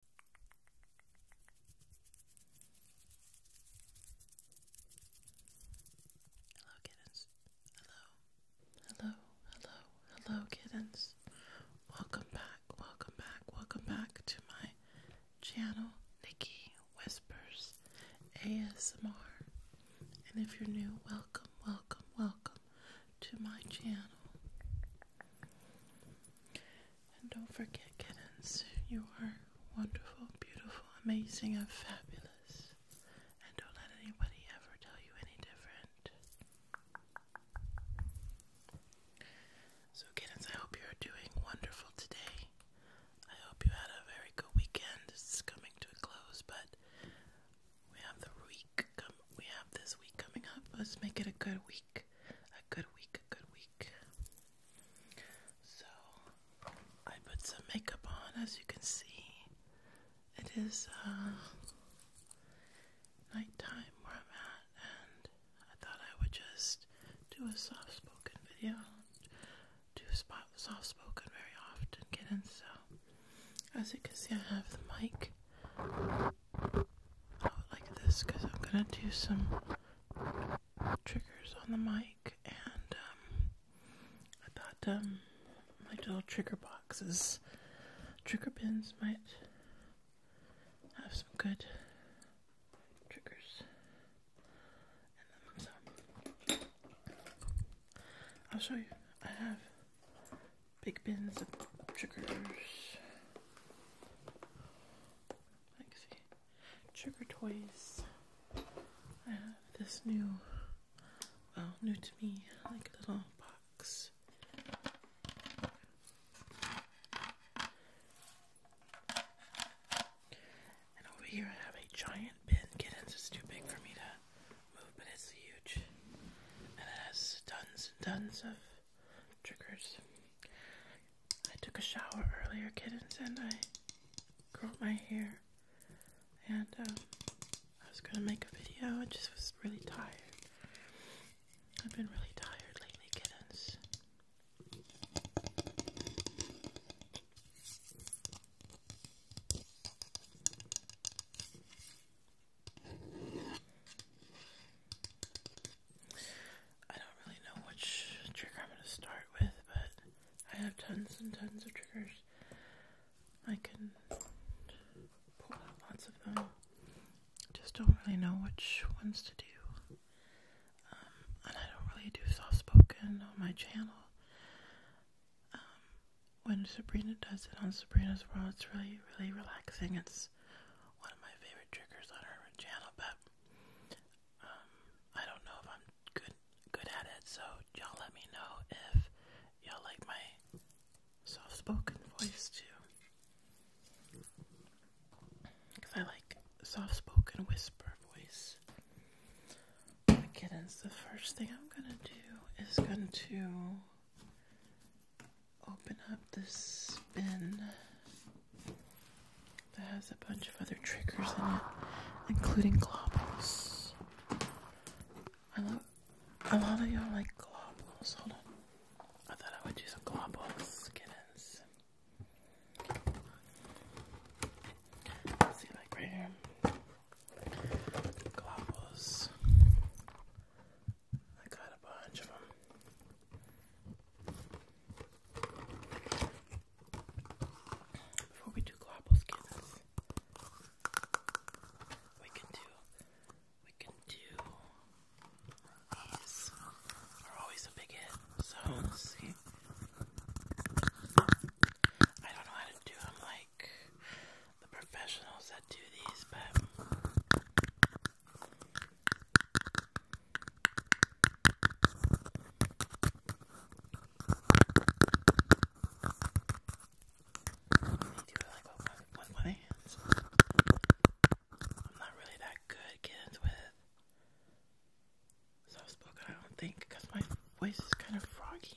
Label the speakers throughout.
Speaker 1: Hello, kittens. Hello, hello, hello, hello, kittens. Welcome back, welcome back, welcome back to my channel, Nikki Whispers ASMR. And if you're new, welcome, welcome, welcome to my channel. And don't forget, kittens, you are wonderful, beautiful, amazing, and fabulous. And don't let anybody ever tell you any different. So, kittens, I hope you're doing wonderful today. I hope you had a very good weekend. It's coming to a close, but we have the week. Come, we have this week coming up. Let's make it a good week. A good week, a good week. So, I put some makeup on, as you can see. It is uh, nighttime where I'm at, and I thought I would just do a soft spoken video. Do spot soft spoken very often, get in so. As you can see, I have the mic I oh, like this because I'm gonna do some triggers on the mic, and um, I thought um, my little trigger boxes, trigger bins might have some good triggers. I'll show you. I have big bins of triggers. Actually, Trigger Toys. I have this new, well, new to me, like little box. And over here I have a giant bin. Kittens is too big for me to move, but it's huge. And it has tons and tons of triggers. I took a shower earlier, kittens, and I curled my hair. And um, I was gonna make a video, I just was really tired. I've been really tired lately, kittens. I don't really know which trigger I'm going to start with, but I have tons and tons of triggers. I can pull out lots of them. Just don't really know which ones to do. Um, and I don't really do soft spoken on my channel. Um, when Sabrina does it on Sabrina's World, it's really, really relaxing. It's one of my favorite triggers on her channel, but um, I don't know if I'm good good at it. So y'all let me know if y'all like my soft spoken voice too, because I like soft spoken whisper voice. The kittens. The first thing I'm gonna do is going to open up this bin that has a bunch of other triggers in it, including globals. I love, A lot of y'all like globals. Hold on. I thought I would do some globals, kittens. See, like right here. Globals. I got a bunch of them. Before we do global skins, we can do we can do these are always a big hit. So let's see. I don't know how to do them like the professionals that do these, but do like with, with my hands. I'm not really that good kids with soft spoken, I don't think, because my voice is kind of froggy.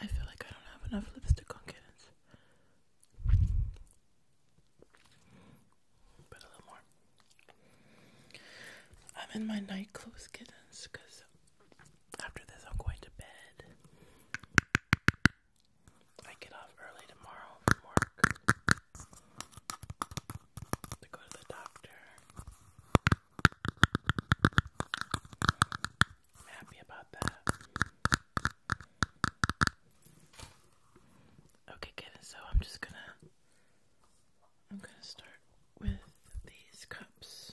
Speaker 1: I feel like I don't have enough lipstick on kittens. But a little more. I'm in my night clothes, kittens, because after this I'm going to bed. I get off early tomorrow from work to go to the doctor. I'm happy about that. Okay, kiddo. So I'm just gonna, I'm gonna start with these cups.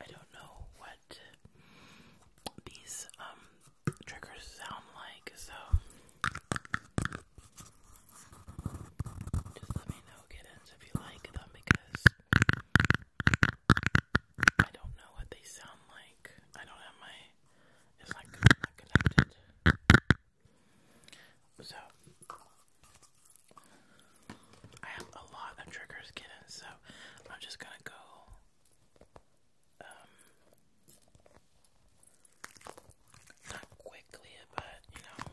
Speaker 1: I don't know what these um triggers sound like, so just let me know, if you like them because I don't know what they sound like. I don't have my. It's not, not so, I have a lot of triggers, kittens, so I'm just gonna go. Um, not quickly, but you know.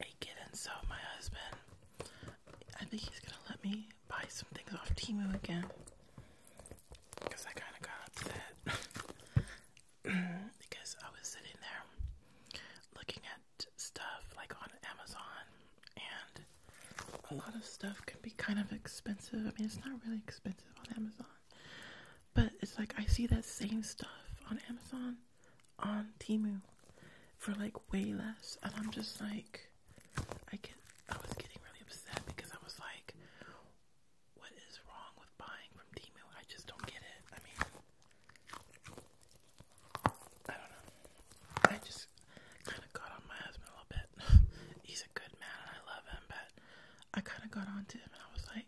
Speaker 1: I a given, so my husband, I think he's gonna let me buy some things off Timu again. Because I kind of got upset. because I was sitting there looking at stuff like on Amazon, and a lot of stuff can be kind of expensive. I mean, it's not really expensive on Amazon, but it's like I see that same stuff on Amazon on Timu for like way less, and I'm just like, I get, I was getting really upset because I was like, what is wrong with buying from Timu? I just don't get it. I mean, I don't know. I just kind of got on my husband a little bit. He's a good man, and I love him, but I kind of got on to him, and I was like.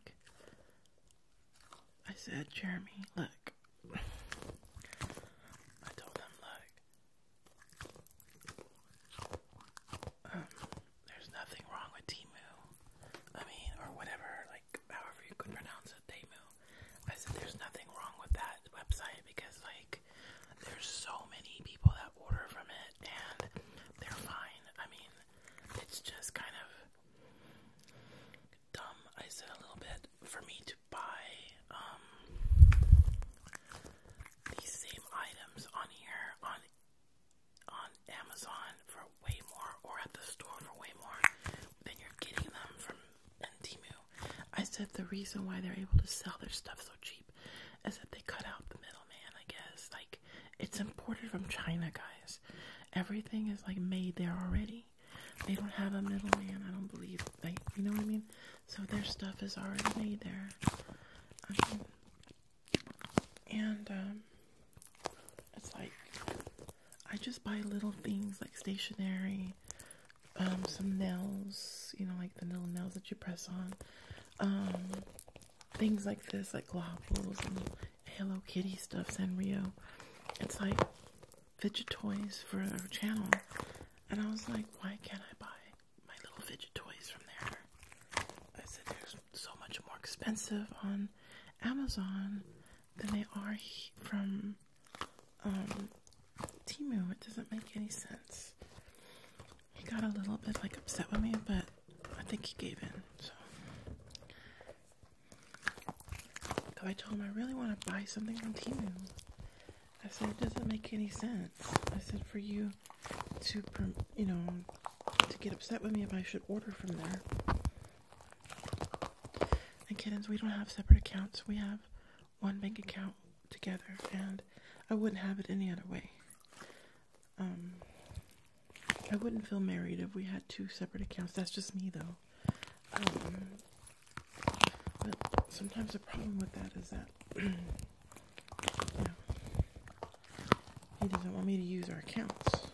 Speaker 1: I said, Jeremy, look, I told them like um, there's nothing wrong with Timu. I mean, or whatever, like however you could pronounce it, Temu. I said there's nothing wrong with that website because like there's so many people that order from it and they're fine. I mean, it's just kind of dumb, I said a little bit, for me to buy um these same items on here on on Amazon for way more or at the store for way more than you're getting them from Timu. I said the reason why they're able to sell their stuff so cheap is that they cut out the middleman, I guess. Like it's imported from China, guys. Everything is like made there already. They don't have a middleman, I don't believe. they. you know what I mean? So their stuff is already made there. Um, and, um, it's like, I just buy little things like stationery, um, some nails, you know, like the little nails that you press on. Um, things like this, like globbles and Hello Kitty stuff, Sanrio. It's like, fidget toys for our channel, and I was like, why can't I buy my little fidget toys from there? I said they're so much more expensive on Amazon than they are from um, It doesn't make any sense. He got a little bit like upset with me, but I think he gave in. So so I told him I really want to buy something from Timu. I said it doesn't make any sense. I said for you to, you know, to get upset with me if I should order from there. And kittens, we don't have separate accounts. We have one bank account together, and I wouldn't have it any other way. Um, I wouldn't feel married if we had two separate accounts. That's just me, though. Um, but sometimes the problem with that is that he doesn't want me to use our accounts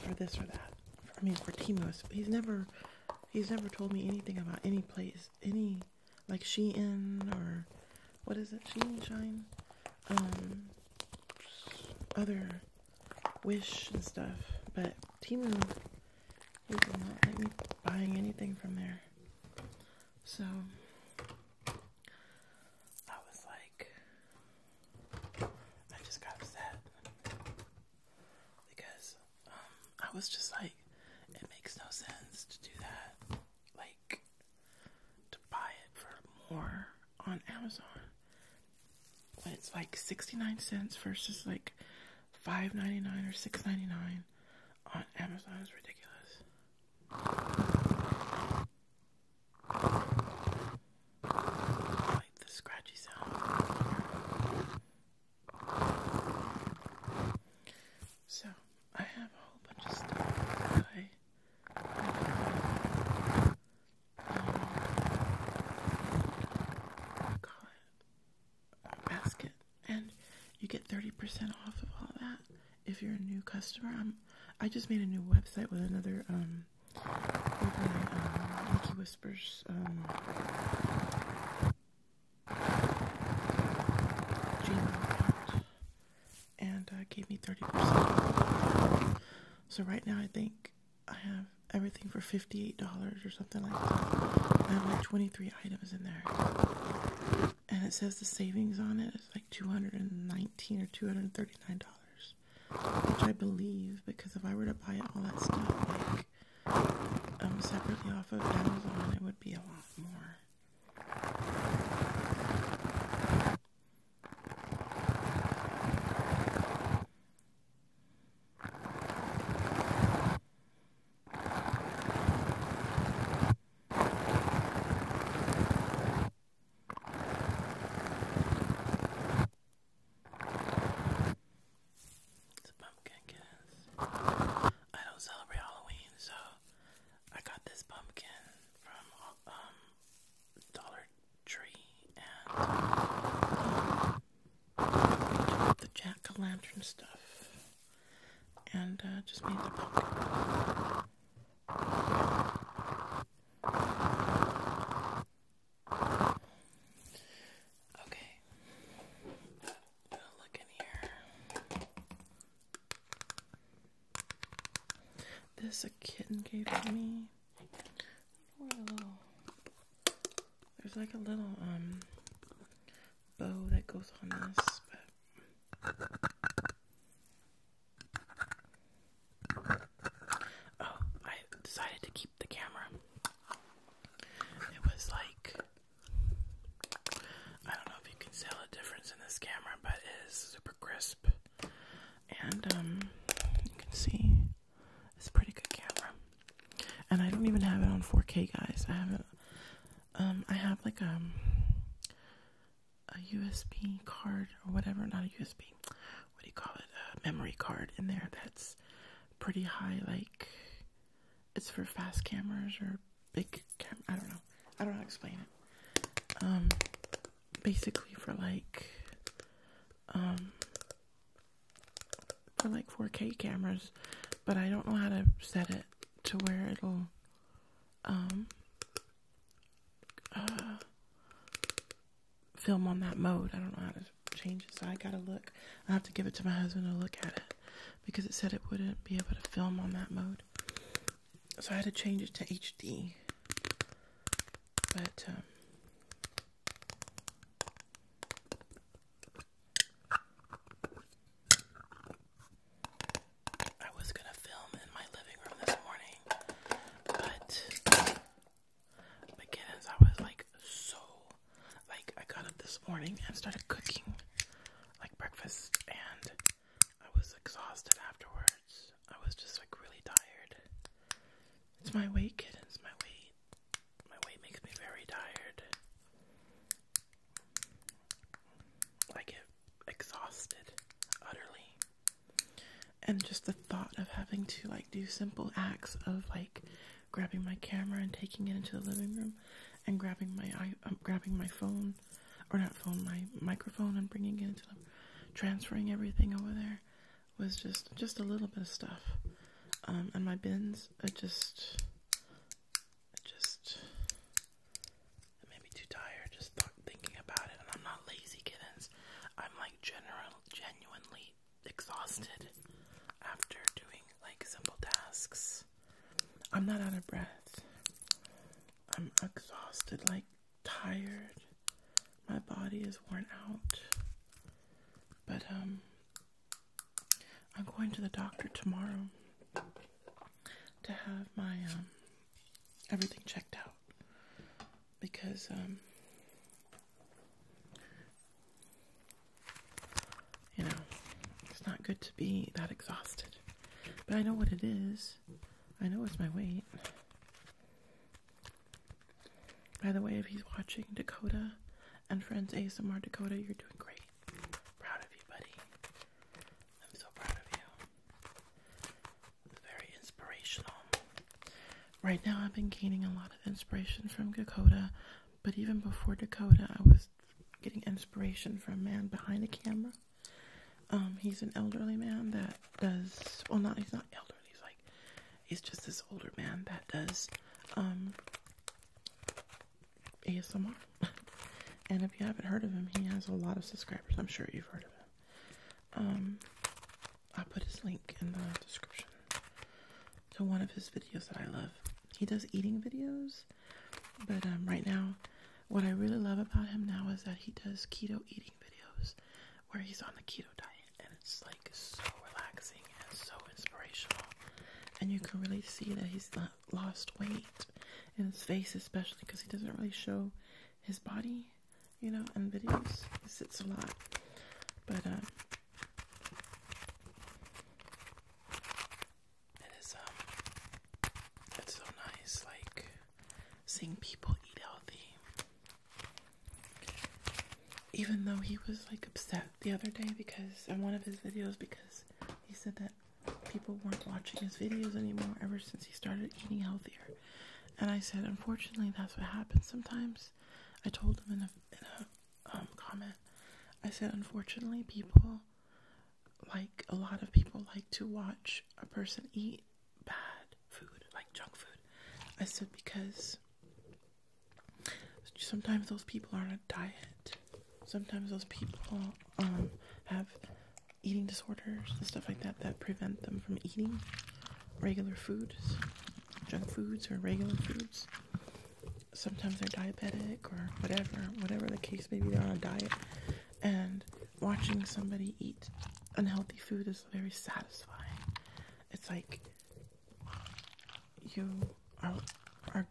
Speaker 1: for this or that. I mean, for Timos, he's never he's never told me anything about any place, any like Shein or what is it, Shein Shine, um, other Wish and stuff. But Timo. He will not let me buying anything from there. So I was like, I just got upset because um, I was just like, it makes no sense to do that. Like, to buy it for more on Amazon. when it's like 69 cents versus like five ninety nine or six ninety nine on Amazon is ridiculous. like the scratchy sound. So I have a whole bunch of stuff that I um, call basket, and you get 30% off of all that if you're a new customer. i just made a new website with another um, with my um, Mickey Whispers um, and uh, gave me 30%. So right now, I think I have everything for $58 or something like that. I have like 23 items in there. And it says the savings on it is like 219 or $239, which I believe because if I were to buy all that stuff like um, separately off of Amazon, it would be a lot more. It's a pumpkin kiss. I don't celebrate Halloween, so I got this pumpkin from um Dollar Tree and um, the jack-o'-lantern stuff and uh, just made the book. Okay, look in here. This a kitten gave me. Where there's like a little um bow that goes on this, oh, I decided to keep the camera. It was like I don't know if you can see the difference in this camera, but it is super crisp, and um, you can see it's a pretty good camera. And I don't even have it on 4K, guys. I have it. Um, I have like um, a, a USB card or whatever. Not a USB. What do you call it? A memory card in there that's pretty high. Like, it's for fast cameras or big cam. I don't know. I don't know how to explain it. Um, basically for like, um, for like 4K cameras, but I don't know how to set it to where it'll um, uh, film on that mode. I don't know how to change it, so I gotta look. I have to give it to my husband to look at it because it said it wouldn't be able to film on that mode. So I had to change it to HD. But um, I was gonna film in my living room this morning, but again, as I was like so, like I got up this morning and started cooking like breakfast, and I was exhausted afterwards. I was just like really tired. It's my weight, kittens, my weight. My weight makes me very tired. I get exhausted utterly. And just the thought of having to like do simple acts of like grabbing my camera and taking it into the living room and grabbing my um, grabbing my phone or not phone my microphone and bringing it into the transferring everything over there was just just a little bit of stuff um, and my bins are just, I just, it made me too tired just thinking about it, and I'm not lazy kittens, I'm like general, genuinely exhausted after doing like simple tasks. I'm not out of breath. I'm exhausted, like tired. My body is worn out. But um I'm going to the doctor tomorrow to have my um, everything checked out because um, you know it's not good to be that exhausted. But I know what it is. I know it's my weight. By the way, if he's watching Dakota and Friends ASMR Dakota, you're doing great. Proud of you, buddy. I'm so proud of you. Very inspirational. Right now, I've been gaining a lot of inspiration from Dakota, but even before Dakota, I was getting inspiration from a man behind the camera. Um, he's an elderly man that does well. Not he's not elderly. He's like he's just this older man that does um, ASMR. and if you haven't heard of him, he has a lot of subscribers. I'm sure you've heard of him. Um, I'll put his link in the description to one of his videos that I love. He does eating videos, but um, right now, what I really love about him now is that he does keto eating videos where he's on the keto diet, and it's like so relaxing and so inspirational. And you can really see that he's not lost weight in his face, especially because he doesn't really show his body, you know, in videos. He sits a lot, but um, it is it's um, so nice, like seeing people eat healthy even though he was like upset the other day because in one of his videos because he said that people weren't watching his videos anymore ever since he started eating healthier. And I said, unfortunately, that's what happens sometimes. I told him in a, um, comment, I said, unfortunately, people like a lot of people like to watch a person eat bad food, like junk food. I said, because sometimes those people are on a diet. Sometimes those people um, have eating disorders and stuff like that that prevent them from eating regular foods, junk foods or regular foods. Sometimes they're diabetic or whatever, whatever the case may be, they're on a diet. And watching somebody eat unhealthy food is very satisfying. It's like you are are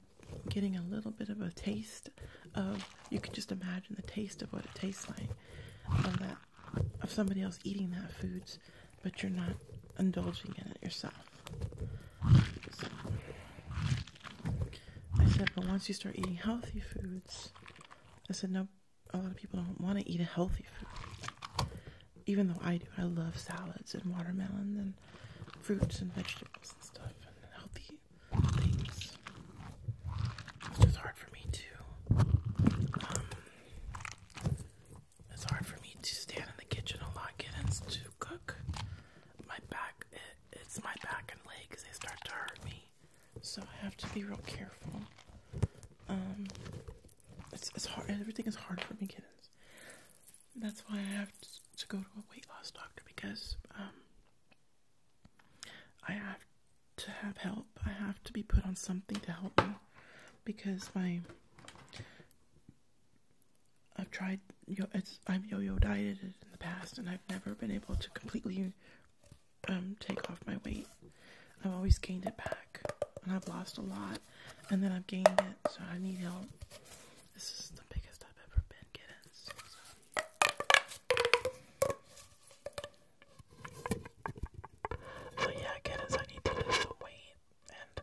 Speaker 1: getting a little bit of a taste of you can just imagine the taste of what it tastes like of that of somebody else eating that foods but you're not indulging in it yourself I said but once you start eating healthy foods I said no a lot of people don't want to eat a healthy food even though I do, I love salads and watermelon and fruits and vegetables and stuff and healthy things. It's just hard for me too. Um, it's hard for me to stand in the kitchen a lot, get in to cook. My back, it's my back and legs, they start to hurt me. So I have to be real careful. Um, it's, it's hard, everything is hard for me, kittens that's why I have to go to a weight loss doctor because um, I have to have help. I have to be put on something to help me because my I've tried yo I've yo-yo dieted in the past and I've never been able to completely um, take off my weight. I've always gained it back and I've lost a lot and then I've gained it so I need help. This is the biggest I've ever been getting. So. yeah, kittens, I need to lose weight, and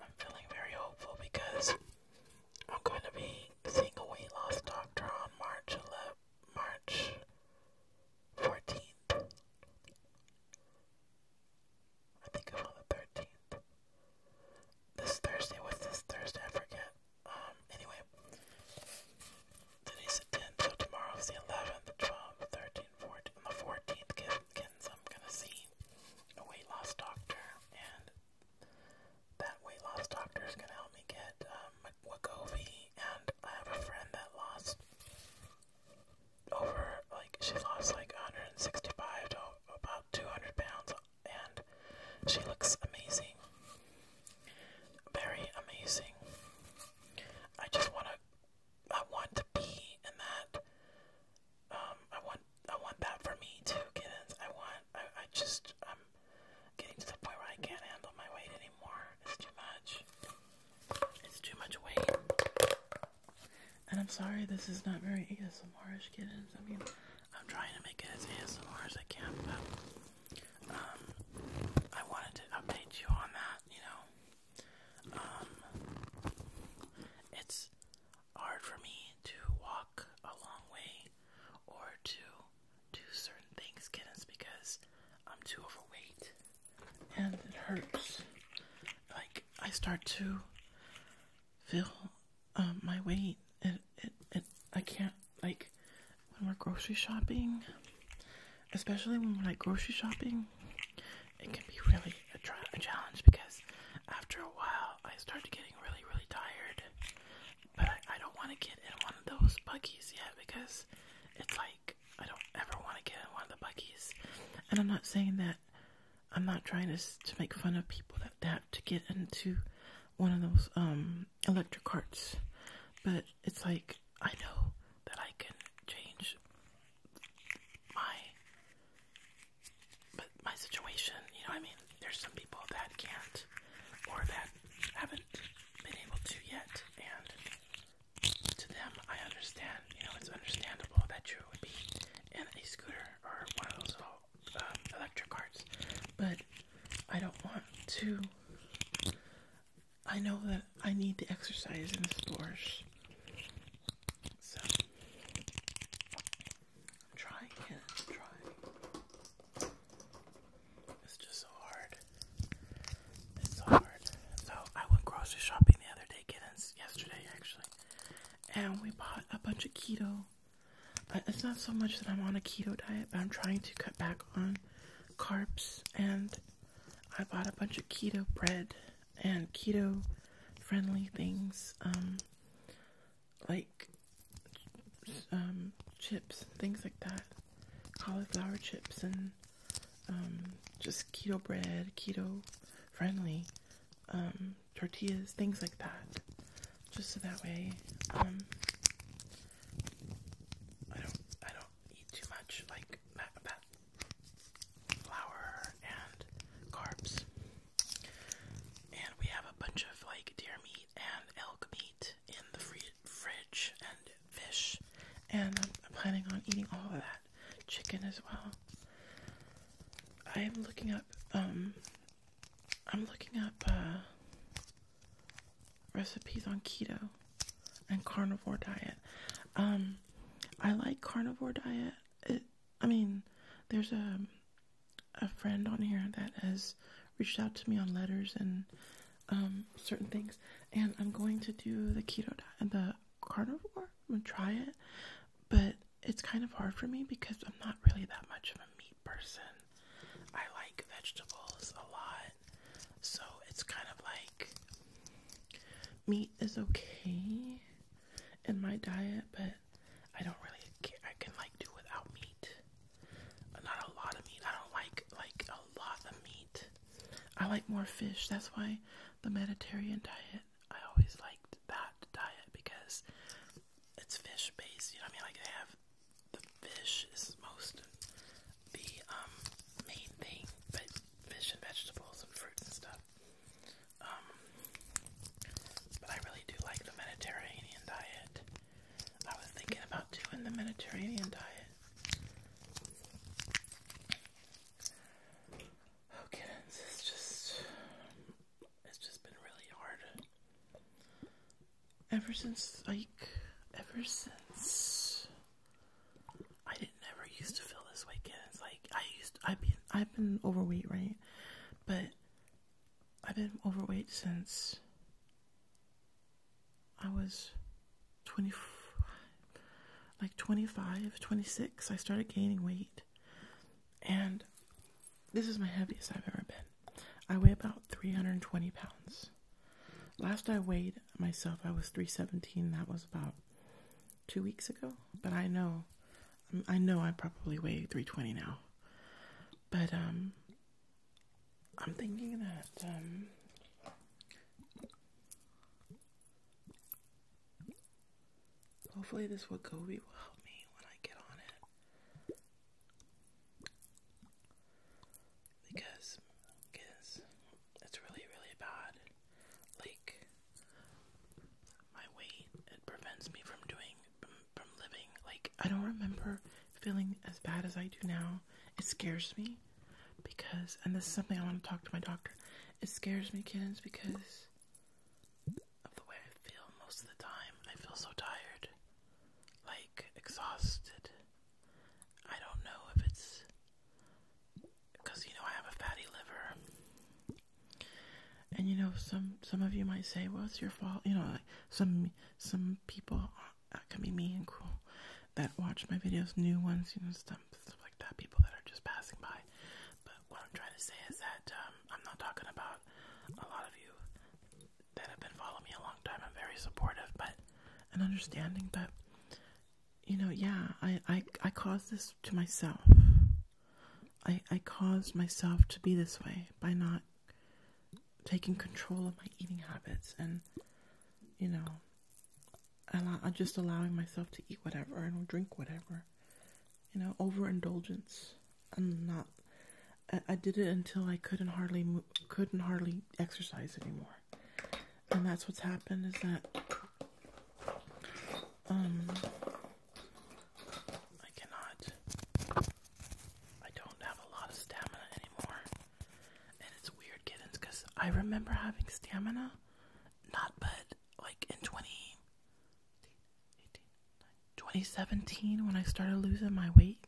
Speaker 1: I'm feeling very hopeful because I'm going to be seeing a weight loss doctor on March 11th, March 14th. I think i the 13th. This Thursday, what's this Thursday? I forget. Um, anyway. Today's the 10th, so tomorrow's the 11th, 12th, the 14th, I'm gonna see a weight loss doctor, and that weight loss doctor is gonna help me get, um, and I have a friend that lost over like she lost like 165 to about 200 pounds, and she looks amazing, very amazing. I just want to, I want to be in that. Um, I want, I want that for me too, in. I want, I, I just, I'm getting to the point where I can't handle my weight anymore. It's too much. It's too much weight. And I'm sorry this is not very asmr kittens. I mean, I'm trying to make it as ASMR as I can, but um, I wanted to update you on that. You know, um, it's hard for me to walk a long way or to do certain things, kittens, because I'm too overweight and it hurts. Like I start to feel um, my weight. It, it, it, I can't, like, when we're grocery shopping, especially when we're grocery shopping, it can be really a, a challenge because after a while I start getting really, really tired. But I, I don't want to get in one of those buggies yet because it's like I don't ever want to get in one of the buggies. And I'm not saying that I'm not trying to to make fun of people that have to get into one of those um electric carts, but it's like I know that I can change my but my situation. You know, I mean, there's some people that can't or that haven't been able to yet, and to them, I understand. You know, it's understandable that you would be in a scooter or one of those little um, electric carts, but I don't want to. I know that I need the exercise in the stores, so I'm trying it. trying. It's just so hard. It's so hard. So I went grocery shopping the other day, kittens. Yesterday, actually, and we bought a bunch of keto. Uh, it's not so much that I'm on a keto diet, but I'm trying to cut back on carbs. And I bought a bunch of keto bread and keto friendly things, um, like um, chips, things like that, cauliflower chips, and um, just keto bread, keto friendly um, tortillas, things like that. Just so that way, um, I don't, I don't eat too much like flour and carbs. And we have a bunch of like deer meat and elk meat in the fridge and fish, and I'm planning on eating all of that chicken as well. I'm looking up um, I'm looking up uh, recipes on keto and carnivore diet. Um, I like carnivore diet. I mean, there's a a friend on here that has reached out to me on letters and um, certain things, and I'm going to do the keto diet, the carnivore. I'm gonna try it, but it's kind of hard for me because I'm not really that much of a meat person. I like vegetables a lot. So it's kind of like meat is okay in my diet, but I don't really care. I can like do without meat. Not a lot of meat. I don't like like a lot of meat. I like more fish. That's why the Mediterranean diet I always liked that diet because it's fish based. You know, what I mean, like they have the fish is most the um, main thing, but fish and vegetables and fruits and stuff. Um, but I really do like the Mediterranean diet. I was thinking about doing the Mediterranean diet. Okay, this is just it's just been really hard ever since like ever since I didn't ever used to feel this way again. like I used I've been I've been overweight, right? But I've been overweight since I was 20 like 25, 26. I started gaining weight and this is my heaviest I've ever been. I weigh about 320 pounds. Last I weighed myself, I was 317. That was about two weeks ago. But I know, um, I know I probably weigh 320 now. But um, I'm thinking that um, Hopefully, this Wagobi will help me when I get on it. Because, because it's really, really bad. Like, my weight, it prevents me from doing, from living. Like, I don't remember feeling as bad as I do now. It scares me because, and this is something I want to talk to my doctor. It scares me, kids, because of the way I feel most of the time. I feel so tired, like exhausted. I don't know if it's because you know I have a fatty liver, and you know some some of you might say, "Well, it's your fault." You know, like some some people that uh, can be mean and cruel that watch my videos, new ones, you know, stuff stuff like that. People that are just passing by, but what I'm trying to say is that um, I'm not talking about a lot of you that have been following me a long time. I'm very supportive, but an understanding But you know, yeah, I I caused this to myself. I I caused myself to be this way by not taking control of my eating habits and you know, i just allowing myself to eat whatever and drink whatever you know, overindulgence. I'm not. I, did it until I couldn't hardly couldn't hardly exercise anymore, and that's what's happened is that um I cannot. I don't have a lot of stamina anymore, and it's weird, kittens, because I remember having stamina, not but like in twenty 2017 when I started losing my weight,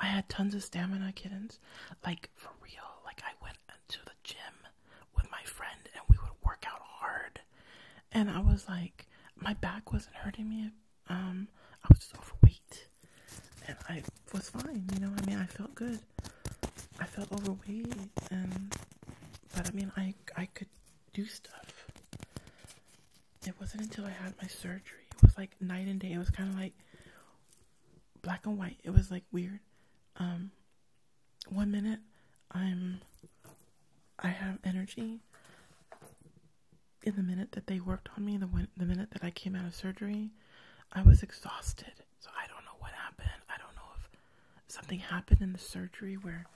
Speaker 1: I had tons of stamina kittens. Like for real, like I went to the gym with my friend and we would work out hard. And I was like my back wasn't hurting me. Um I was just overweight. And I was fine, you know, I mean I felt good. I felt overweight and but I mean I I could do stuff. It wasn't until I had my surgery. It was like night and day. It was kind of like black and white. It was like weird. Um, one minute I'm I have energy. In the minute that they worked on me, the win- the minute that I came out of surgery, I was exhausted. So I don't know what happened. I don't know if something happened in the surgery where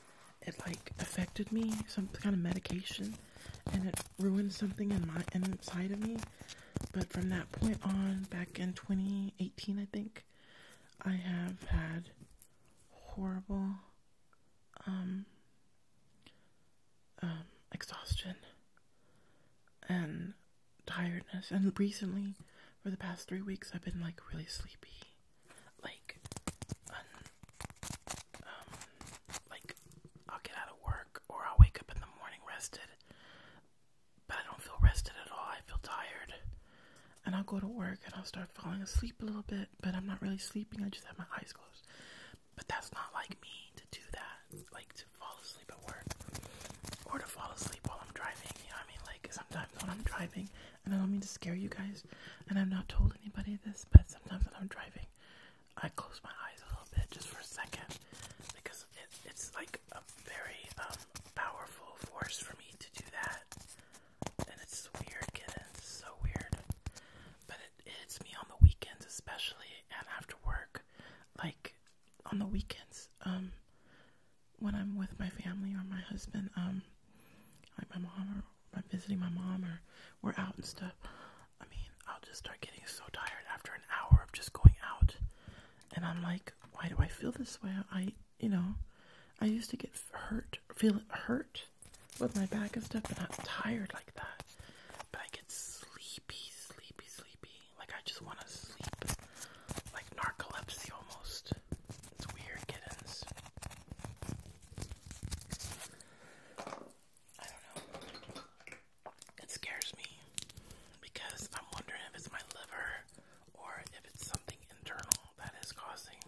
Speaker 1: it like affected me, some kind of medication, and it ruined something in my inside of me. But from that point on, back in 2018, I think, I have had horrible um, um, exhaustion and tiredness. And recently, for the past three weeks, I've been like really sleepy like um like I'll get out of work or I'll wake up in the morning rested but I don't feel rested at all. I feel tired. And I'll go to work and I'll start falling asleep a little bit, but I'm not really sleeping. I just have my eyes closed. But that's not like me to do that, like to fall asleep at work or to fall asleep while I'm driving. You know what I mean? Like sometimes when I'm driving, and I don't mean to scare you guys, and I've not told anybody this, but sometimes when I'm driving, I close my eyes a little bit just for a second because it's like a very um, powerful force for me to do that, and it's weird, kitten. It's so weird, but it, hits me on the weekends, especially and after work, like on the weekends, um, when I'm with my family or my husband, um, like my mom or I'm visiting my mom or we're out and stuff, I mean, I'll just start getting so tired after an hour of just going out. And I'm like, why do I feel this way? I, you know, I used to get hurt, feel hurt with my back and stuff, but am tired like that. But I get sleepy, sleepy, sleepy. Like I just want to sleep. Like narcolepsy almost. It's weird kittens. I don't know. It scares me because I'm wondering if it's my liver or if it's something internal that is causing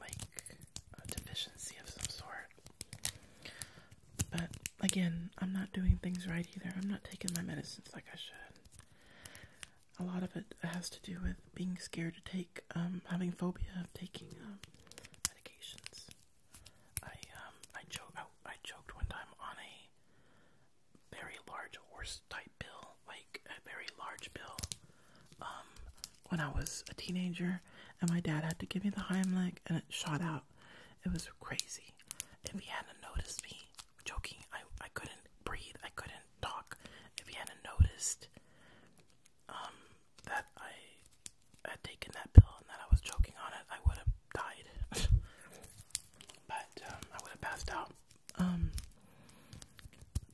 Speaker 1: like a deficiency of some sort. But again, I'm not doing things right either. I'm not taking my medicines like I should. A lot of it has to do with being scared to take like um having phobia of taking um, medications. I um I choked out oh, I choked one time on a very large horse type bill, like a very large pill. Um when I was a teenager and my dad had to give me the Heimlich and it shot out. It was crazy. If he hadn't noticed me joking, I I couldn't breathe, I couldn't talk. If he hadn't noticed um that I had taken that pill and that I was choking on it, I would have died. but um, I would have passed out. Um,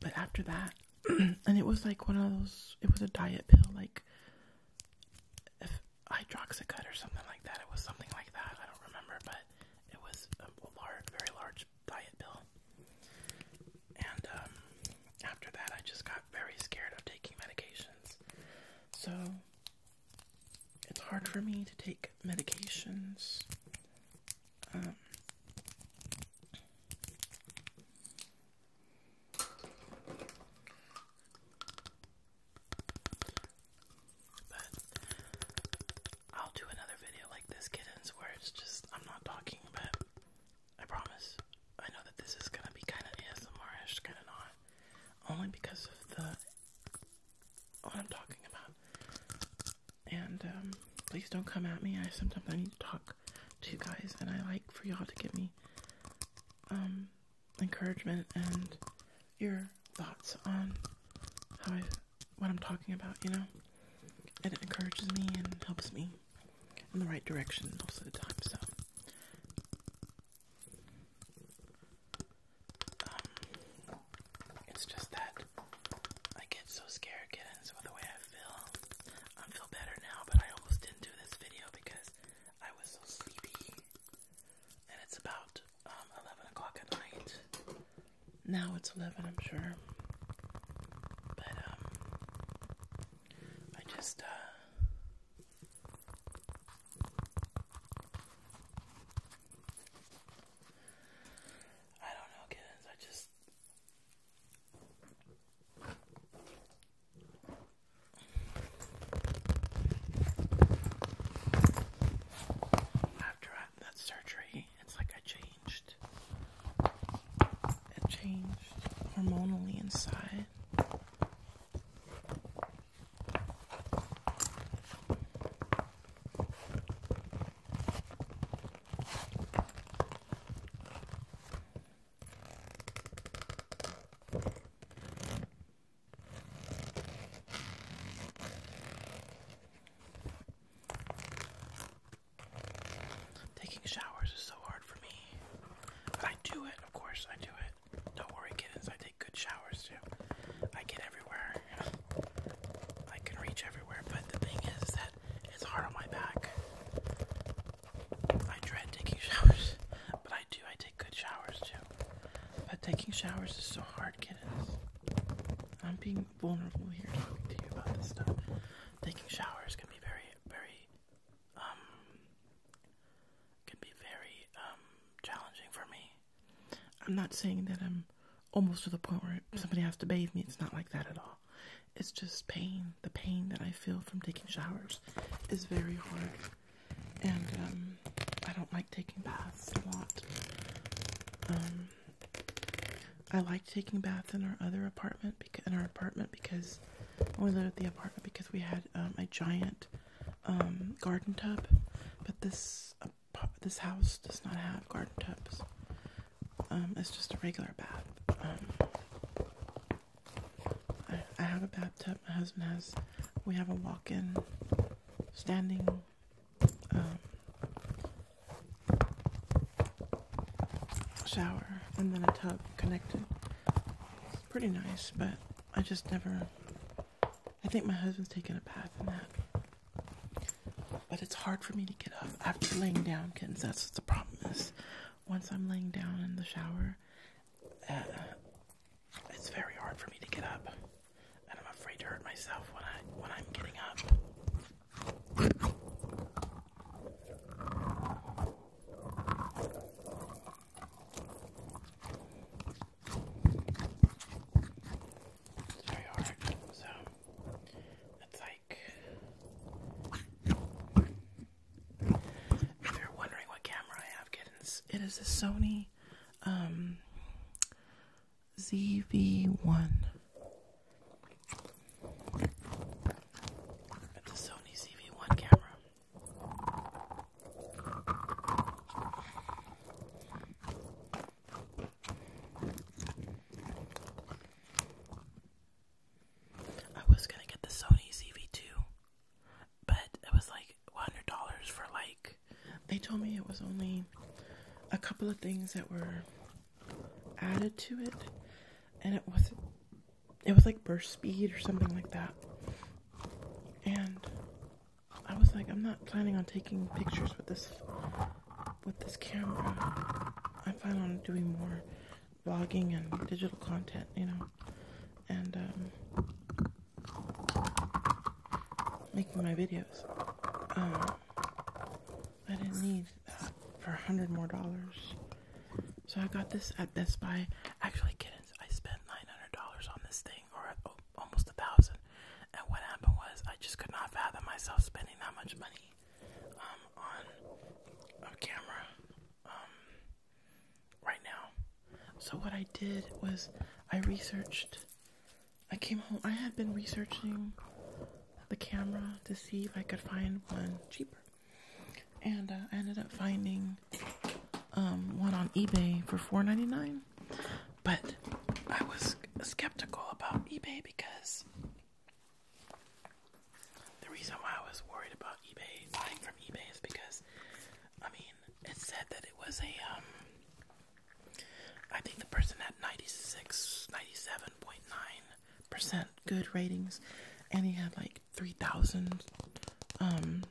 Speaker 1: but after that, and it was like one of those. It was a diet pill, like if hydroxycut or something like that. It was something like that. I don't remember, but it was large, very large diet pill. And um, after that, I just got very scared of taking medications. So it's hard for me to take medications. Um, but I'll do another video like this, kittens, where it's just I'm not talking, but I promise. I know that this is gonna be kind of ASMR-ish, kind of not. Only because of the what I'm talking about. And um, please don't come at me. I sometimes I need to talk to you guys, and I like for y'all to give me um, encouragement and your thoughts on how I what I'm talking about. You know, and it encourages me and helps me in the right direction most of the time. So, um, it's just that I get so scared kittens with the way I feel. I feel better now, but I almost didn't do this video because I was so sleepy. And it's about um, 11 o'clock at night. Now it's 11, I'm sure. But, um, I just, uh, I don't know, kittens. I just, after that surgery, it's like I changed. It changed hormonally inside. Taking showers is so hard for me. But I do it, of course, I do it. Don't worry, kittens, I take good showers too. I get everywhere. I can reach everywhere, but the thing is that it's hard on my back. I dread taking showers, but I do, I take good showers too. But taking showers is so hard, kittens. I'm being vulnerable here talking to you about this stuff. Taking showers can be very, very um, can be very um, challenging for me. I'm not saying that I'm almost to the point where somebody has to bathe me. It's not like that at all. It's just pain. The pain that I feel from taking showers is very hard. And um, I don't like taking baths a lot. I liked taking baths in our other apartment because in our apartment because we lived at the apartment because we had um, a giant um, garden tub, but this this house does not have garden tubs. Um, it's just a regular bath. I, have a bathtub. My husband has. We have a walk-in standing shower and then a tub connected. pretty nice, but I just never. I think my husband's taking a bath in that. But it's hard for me to get up after laying down, Kids, That's what the problem is. Once I'm laying down in the shower, uh, it's very hard for me to get up, and I'm afraid to hurt myself when I when I'm getting up. It's very hard, so it's like if you're wondering what camera I have, it is a Sony um, ZV one the Sony CV1 camera. I was gonna get the Sony CV2, but it was like $100 for like. They told me it was only a couple of things that were added to it, and it wasn't it was like burst speed or something like that. And I was like, I'm not planning on taking pictures with this with this camera. I plan on doing more vlogging and digital content, you know, and um, making my videos. Um, I didn't need for a hundred more dollars. So I got this at Best Buy. Actually, kittens, I spent nine hundred dollars on this thing, or almost a thousand. And what happened was, I just could not fathom myself spending that much money um, on a camera um, right now. So what I did was, I researched. I came home. I had been researching the camera to see if I could find one cheaper and uh, I ended up finding um, one on eBay for four ninety nine. But I was skeptical about eBay because the reason why I was worried about eBay buying from eBay is because I mean it said that it was a um, I think the person had 96, 97.9 percent good ratings, and he had like three thousand, um,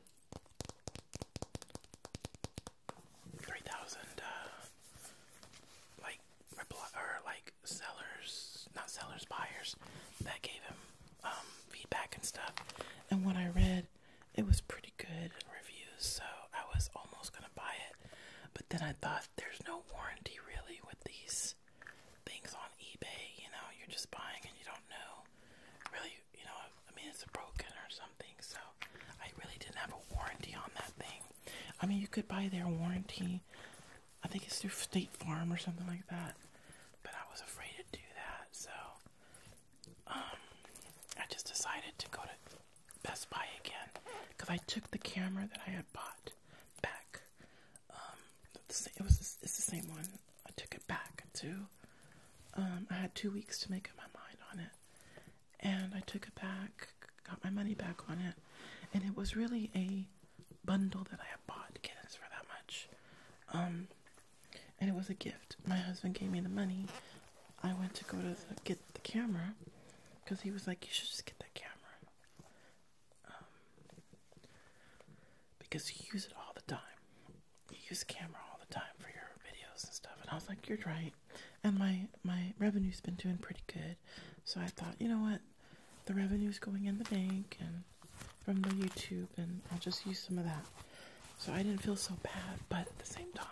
Speaker 1: three thousand, uh, like or like sellers, not sellers, buyers that gave him um feedback and stuff. And when I read, it was pretty good reviews, so I was almost gonna buy it, but then I thought there's no warranty really with these things on eBay, you know, you're just buying and you don't know really, you know, I mean, it's broken or something, so I really didn't have a warranty on that thing. I mean, you could buy their warranty, I think it's through State Farm or something like that, but I was afraid to do that, so um, I just decided to go to Best Buy again because I took the camera that I had bought back um, it was it's the same one. I took it back to. Um, I had two weeks to make up my mind on it, and I took it back, got my money back on it, and it was really a bundle that I had bought kittens for that much. Um, and it was a gift. My husband gave me the money. I went to go to get the camera because he was like, "You should just get that camera." Um, because you use it all the time. You use camera all the time for your videos and stuff. And I was like, you're right. And my, my revenue's been doing pretty good. So I thought, you know what? The revenue's going in the bank and from the YouTube, and I'll just use some of that. So I didn't feel so bad, but at the same time,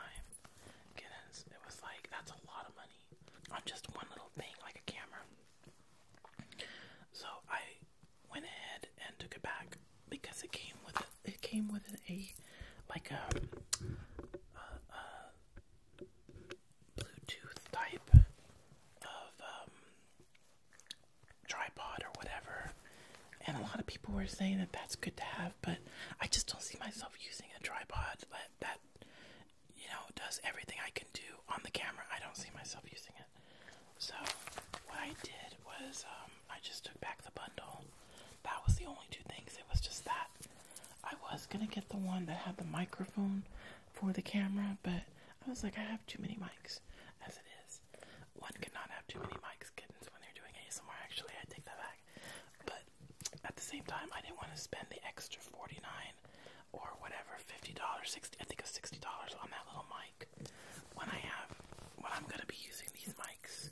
Speaker 1: it was like, that's a lot of money on just one little thing, like a camera. So I went ahead and took it back because it came with a, it came with a like a, Bluetooth type of um, tripod or whatever, and a lot of people were saying that that's good to have, but I just don't see myself using a tripod that you know, does everything I can do on the camera. I don't see myself using it. So, what I did was, um, I just took back the bundle. That was the only two things. It was just that. I was gonna get the one that had the microphone for the camera, but I was like, I have too many mics as it is. One could not have too many mics, kittens, when they're doing ASMR. Actually, I take that back. But at the same time, I didn't want to spend the extra 49 or whatever, $50, 60 I think it's $60 on that little mic when I have, when I'm going to be using these mics.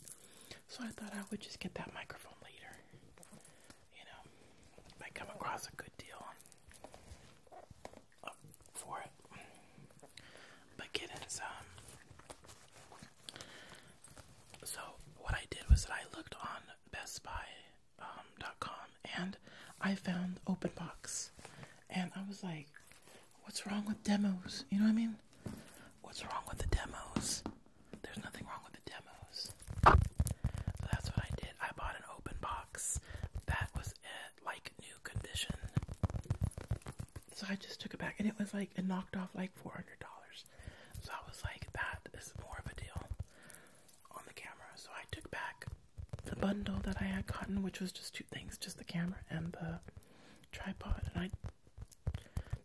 Speaker 1: So I thought I would just get that microphone later. You know, if I come across a good deal oh, for it. But kittens, um, so what I did was that I looked on Best Buy um, .com and I found open box and I was like what's wrong with demos you know what I mean what's wrong with the demos there's nothing wrong with the demos so that's what I did I bought an open box that was it like new condition so I just took it back and it was like it knocked off like $400 so I was like that is more of a deal on the camera. So I took back the bundle that I had gotten, which was just two things, just the camera and the tripod. And I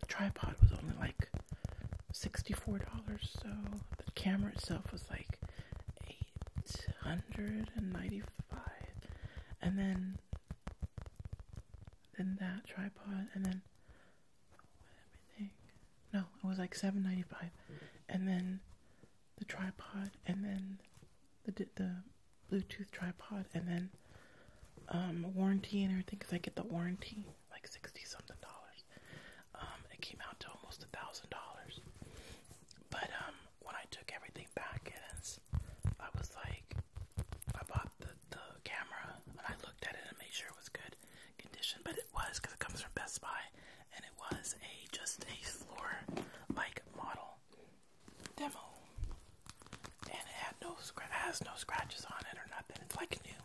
Speaker 1: the tripod was only like $64, so the camera itself was like 895 and then then that tripod and then everything no it was like 795 and then the tripod and then the the Bluetooth tripod and then um, warranty and everything because I get the warranty like sixty something dollars. Um, it came out to almost a thousand dollars. But um, when I took everything back, and I was like, I bought the the camera and I looked at it and made sure it was good condition, but it was because it comes from Best Buy and it was a just a floor like model demo, and it had no it has no scratches on it or nothing. It's like new,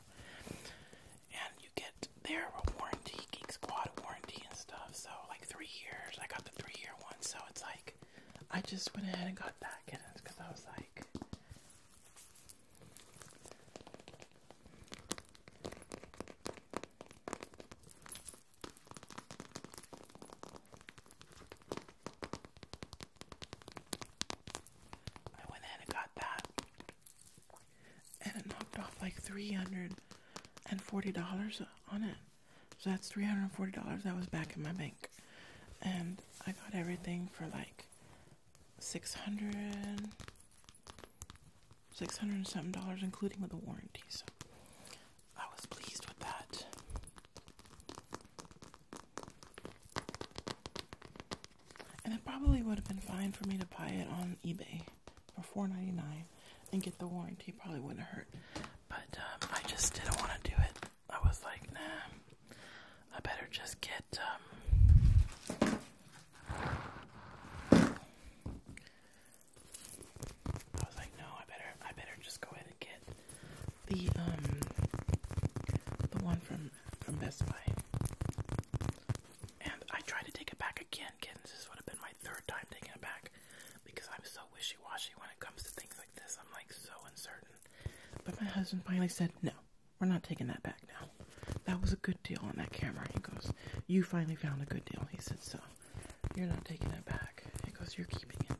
Speaker 1: and you get there their warranty, Geek Squad warranty and stuff. So like three years, I got the three year one. So it's like I just went ahead and got that kittens because I was like. I went in and got that, and it knocked off like three hundred and forty dollars on it. So that's three hundred and forty dollars that was back in my bank, and I got everything for like six hundred Six hundred and seven dollars, including with the warranty. So I was pleased with that. And it probably would have been fine for me to buy it on eBay for four ninety nine and get the warranty. Probably wouldn't hurt, but um, I just didn't want to do it. I was like, nah. I better just get um, I was like, no, I better, I better just go ahead and get the um, the one from from Best Buy. And I tried to take it back again, kittens. This would have been my third time taking it back because I'm so wishy-washy when it comes to things like this. I'm like so uncertain. But my husband finally said, no, we're not taking that back now. That was a good deal on that camera. He goes, you finally found a good deal. He said so. You're not taking it back. He goes, You're keeping it.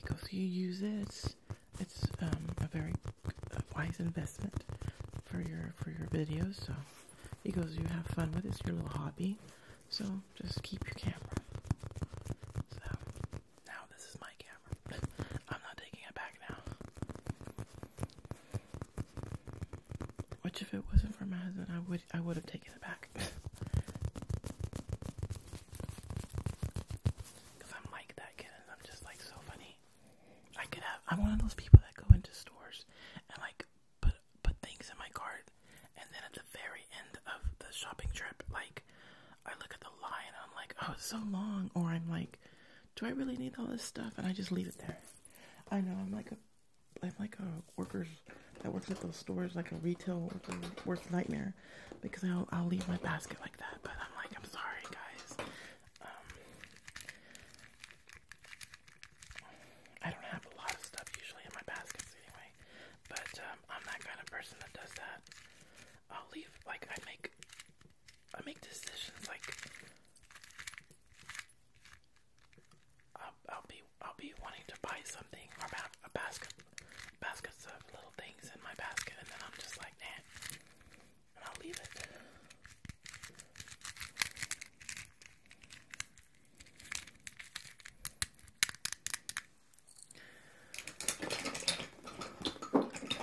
Speaker 1: He goes, You use it. It's um, a very wise investment for your for your videos. So he goes, You have fun with it. It's your little hobby. So just keep your camera. So now this is my camera. I'm not taking it back now. Which, if it wasn't for my husband, I would I would have taken it back. Cause I'm like that kid, and I'm just like so funny. I could have. I'm one of those people that go into stores and like put put things in my cart, and then at the very end of the shopping trip, like I look at the line I'm like, oh, it's so long, or I'm like, do I really need all this stuff? And I just leave it there. I know I'm like a I'm like a worker that works at those stores, like a retail worker, nightmare, because I'll, I'll leave my basket like that. But I'm like, I'm sorry, guys. Um, I don't have a lot of stuff usually in my baskets anyway, but um, I'm that kind of person that does that. I'll leave like I make I make decisions like I'll, be I'll be wanting to buy something or a basket baskets of little things in my basket, and then I'm just like, nah, and I'll leave it.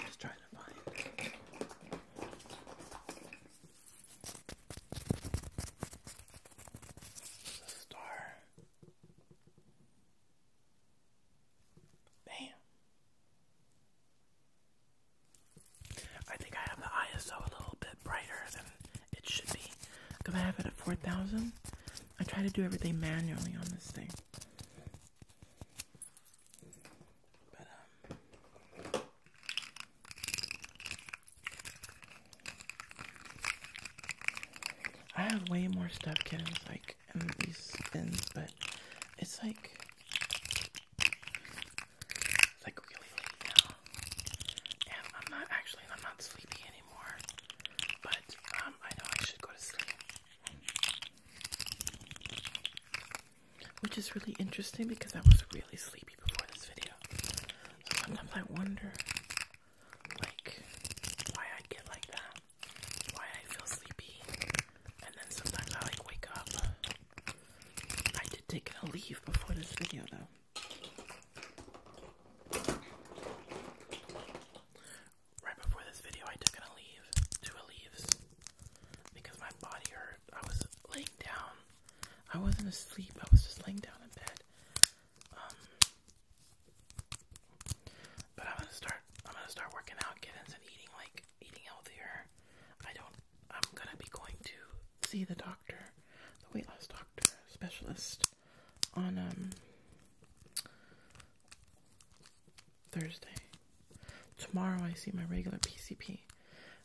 Speaker 1: just trying to find star. Damn. I think I have the ISO a little bit brighter than it should be. Because I have it at 4000. I try to do everything manually on this thing. But, um. I have way more stuffed kittens like in these bins, but it's like like really late I'm not actually I'm not sleepy anymore. But um, I know I should go to sleep. Which is really interesting because I was really sleepy before this video. sometimes I wonder, like, why I get like that. Why I feel sleepy. And then sometimes I, like, wake up. I did take a leave before this video, though. Right before this video, I took an leave, two leaves, because my body hurt. I was laying down I wasn't asleep. I was just laying down in bed. Um, but I'm gonna start. I'm gonna start working out, kittens, and eating like eating healthier. I don't. I'm gonna be going to see the doctor, the weight loss doctor specialist, on um, Thursday. Tomorrow I see my regular PCP,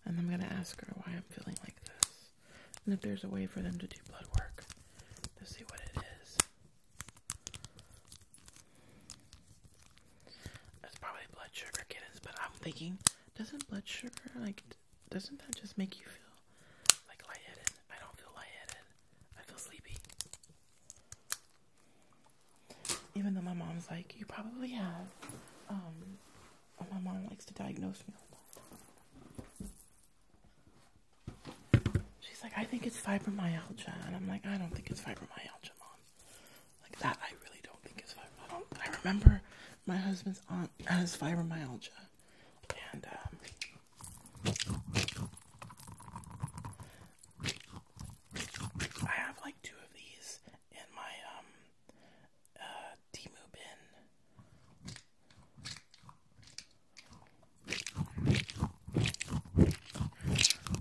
Speaker 1: and I'm gonna ask her why I'm feeling like this and if there's a way for them to do blood work to see what it is. That's probably blood sugar kittens, but I'm thinking, doesn't blood sugar, like, doesn't that just make you feel, like, lightheaded? I don't feel lightheaded. I feel sleepy. Even though my mom's like, you probably have, um, Oh, my mom likes to diagnose me She's like, I think it's fibromyalgia. And I'm like, I don't think it's fibromyalgia, mom. Like, that I really don't think it's fibromyalgia. I, remember my husband's aunt has fibromyalgia. And, um, I have like two of these in my, um, uh, bin.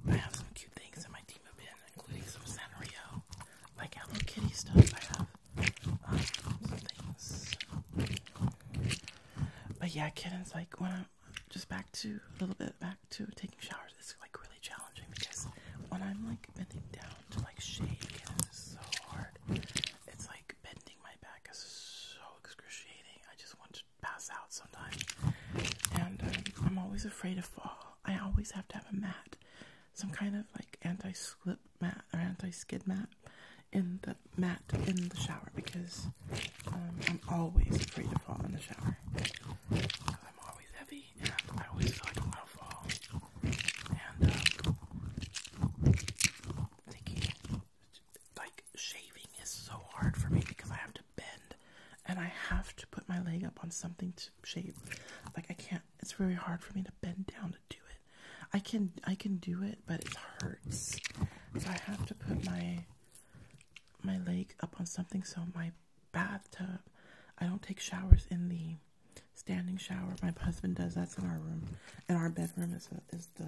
Speaker 1: I have some cute things in my team bin, including some Sanrio, like Hello Kitty stuff. I have um, some things. But yeah, kittens, like when I'm just back to a little bit back to taking showers, it's like really challenging because when I'm like bending down to like shave, kittens, it's so hard. It's like bending my back is so excruciating. I just want to pass out sometimes. And I'm always afraid to fall. I always have to have a mat, some kind of like anti slip mat or anti skid mat in the mat in the shower because um, I'm always afraid to fall in the shower. I'm always heavy I always feel like I'm gonna fall. Um, like shaving is so hard for me because I have to bend and I have to put my leg up on something to shave. Like I can't. It's very hard for me to bend down to do it. I can I can do it, but it hurts. So I have to put my my leg up on something. So my bathtub. I don't take showers in the standing shower. My husband does that's in our room, and our bedroom is is the,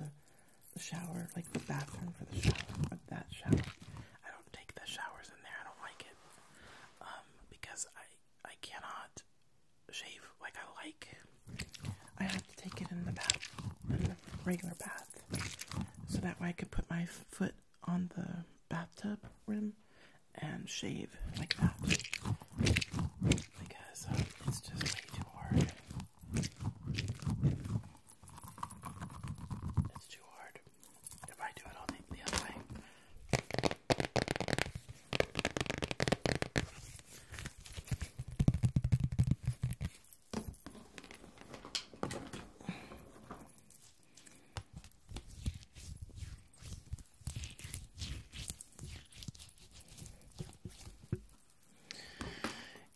Speaker 1: the shower, like the bathroom for the shower. But that shower, I don't take the showers in there. I don't like it um, because I I cannot shave like I like. I have to take it in the bath, in the regular bath, so that way I could put my foot on the bathtub rim and shave like that because uh, it's just way too hard. It's too hard. If I do it all the other way,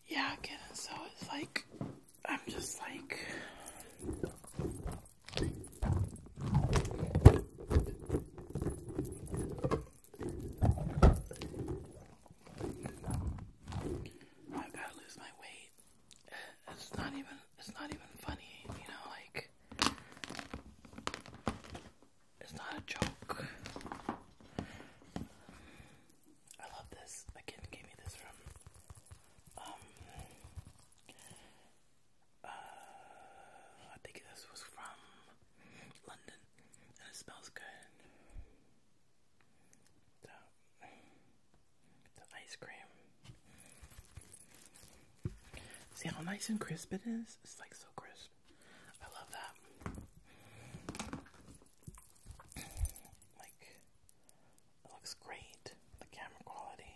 Speaker 1: yeah, again, so it's like, I'm just like. I gotta lose my weight. It's not even, it's not even funny, you know, like. It's not a joke. I love this. A kid gave me this from um uh I think this was from London and it smells good. The, the ice cream. See how nice and crisp it is? It's like so crisp. I love that. Like, it looks great. The camera quality.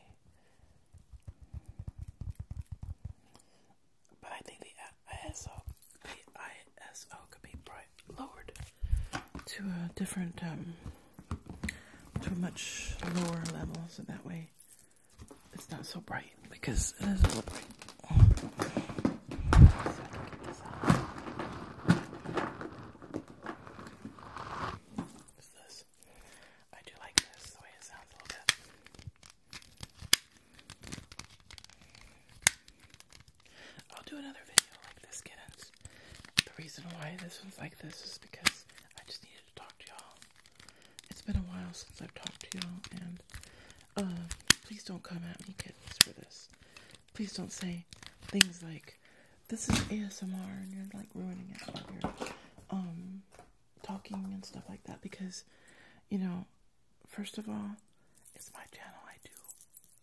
Speaker 1: But I think the ISO, the ISO could be lowered to a different, um, to a much lower level, so that way it's not so bright because it is a little bright. I do like this the way it sounds a little bit. I'll do another video like this, kittens. The reason why this one's like this is because I just needed to talk to y'all. It's been a while since I've talked to y'all, and uh, please don't come at me, kids, for this. Please don't say things like, this is ASMR and you're like ruining it while you um, talking and stuff like that because, you know, first of all, it's my channel. I do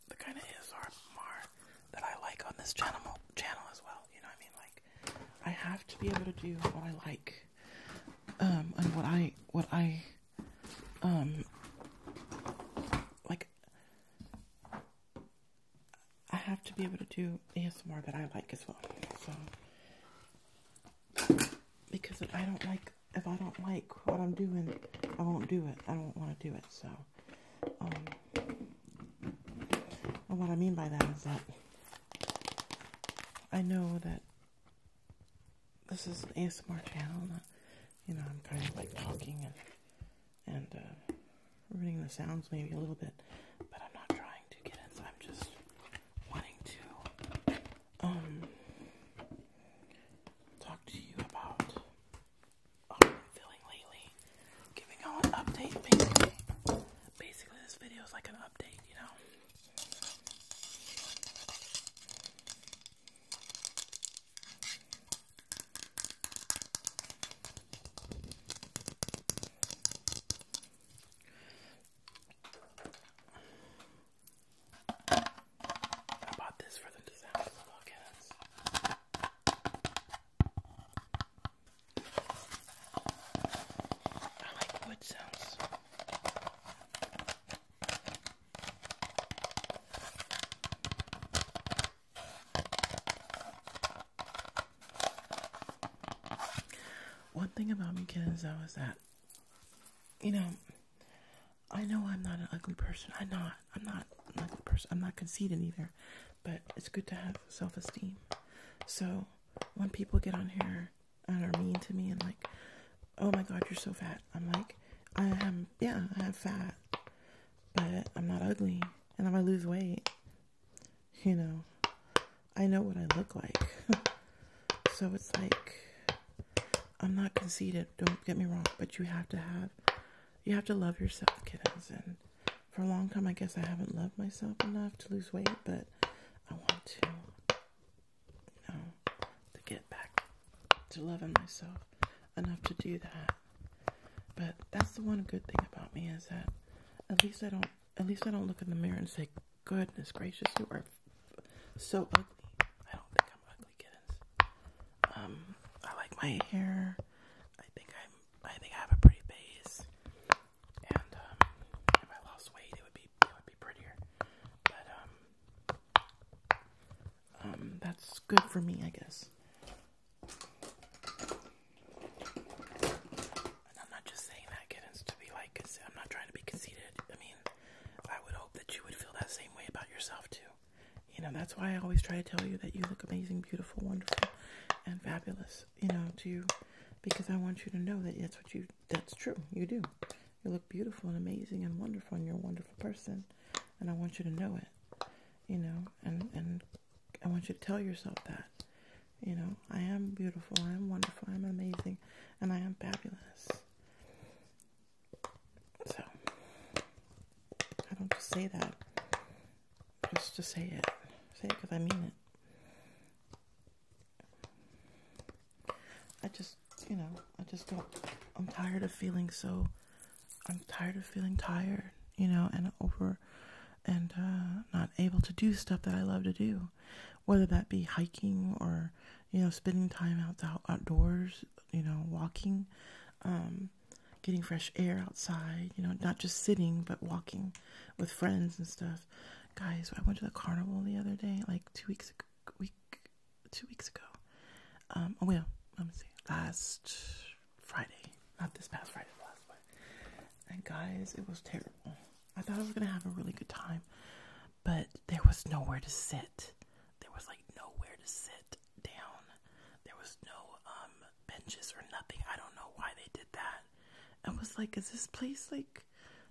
Speaker 1: the kind of ASMR that I like on this channel, channel as well. You know what I mean? Like, I have to be able to do what I like um, and what I what I um like I have to be able to do ASMR that I like as well. So because if I don't like if I don't like what I'm doing, I won't do it. I don't want to do it. So um, and what I mean by that is that I know that this is an ASMR channel, you know, I'm kind of like talking and, and, uh, ruining the sounds maybe a little bit, but I'm not trying to get it, so I'm just wanting to, um, talk to you about how I'm feeling lately, giving out an update, basically, basically this video is like an update, you know, I bought this for the disaster podcast. I like wood sounds. One thing about me, kids, though, is that, you know, I know I'm not an ugly person. I'm not. I'm not an ugly person. I'm not conceited either. But it's good to have self esteem. So when people get on here and are mean to me and like, oh my god, you're so fat. I'm like, I am, yeah, I am fat, but I'm not ugly, and I'm gonna lose weight. You know, I know what I look like, so it's like, I'm not conceited. Don't get me wrong, but you have to have, you have to love yourself, kiddos, and. For a long time, I guess I haven't loved myself enough to lose weight, but I want to you to get back to loving myself enough to do that. But that's the one good thing about me is that at least I don't at least I don't look in the mirror and say, "Goodness gracious, you are so ugly." I don't think I'm ugly, Um, I like my hair. I think I'm. I think I have a pretty face. And um, if I lost weight, it would be it would be prettier. But um, um, that's good for me, I guess. And I'm not just saying that, to be like, I'm not trying to be conceited. I mean, I would hope that you would feel that same way about yourself, too. You know, that's why I always try to tell you that you look amazing, beautiful, wonderful, and fabulous, you know, to you, because I want you to know that that's what you, that's true. You do. You look beautiful and amazing and wonderful, and you're a wonderful person. And I want you to know it, you know, and, and I want you to tell yourself that, you know, I am beautiful, I am wonderful, I am amazing, and I am fabulous. So, I don't just say that, just to say it. Say it because I mean it. I just, you know, I just don't. I'm tired of feeling so. I'm tired of feeling tired, you know, and over and uh, not able to do stuff that I love to do, whether that be hiking or, you know, spending time out outdoors, you know, walking, um, getting fresh air outside, you know, not just sitting but walking with friends and stuff. Guys, I went to the carnival the other day, like two weeks ago, week, two weeks ago. Um, oh, yeah, let me see. Last Friday, not this past Friday, last Friday. And guys, it was terrible. I thought I was gonna have a really good time, but there was nowhere to sit. There was like nowhere to sit down. There was no um benches or nothing. I don't know why they did that. I was like, is this place like?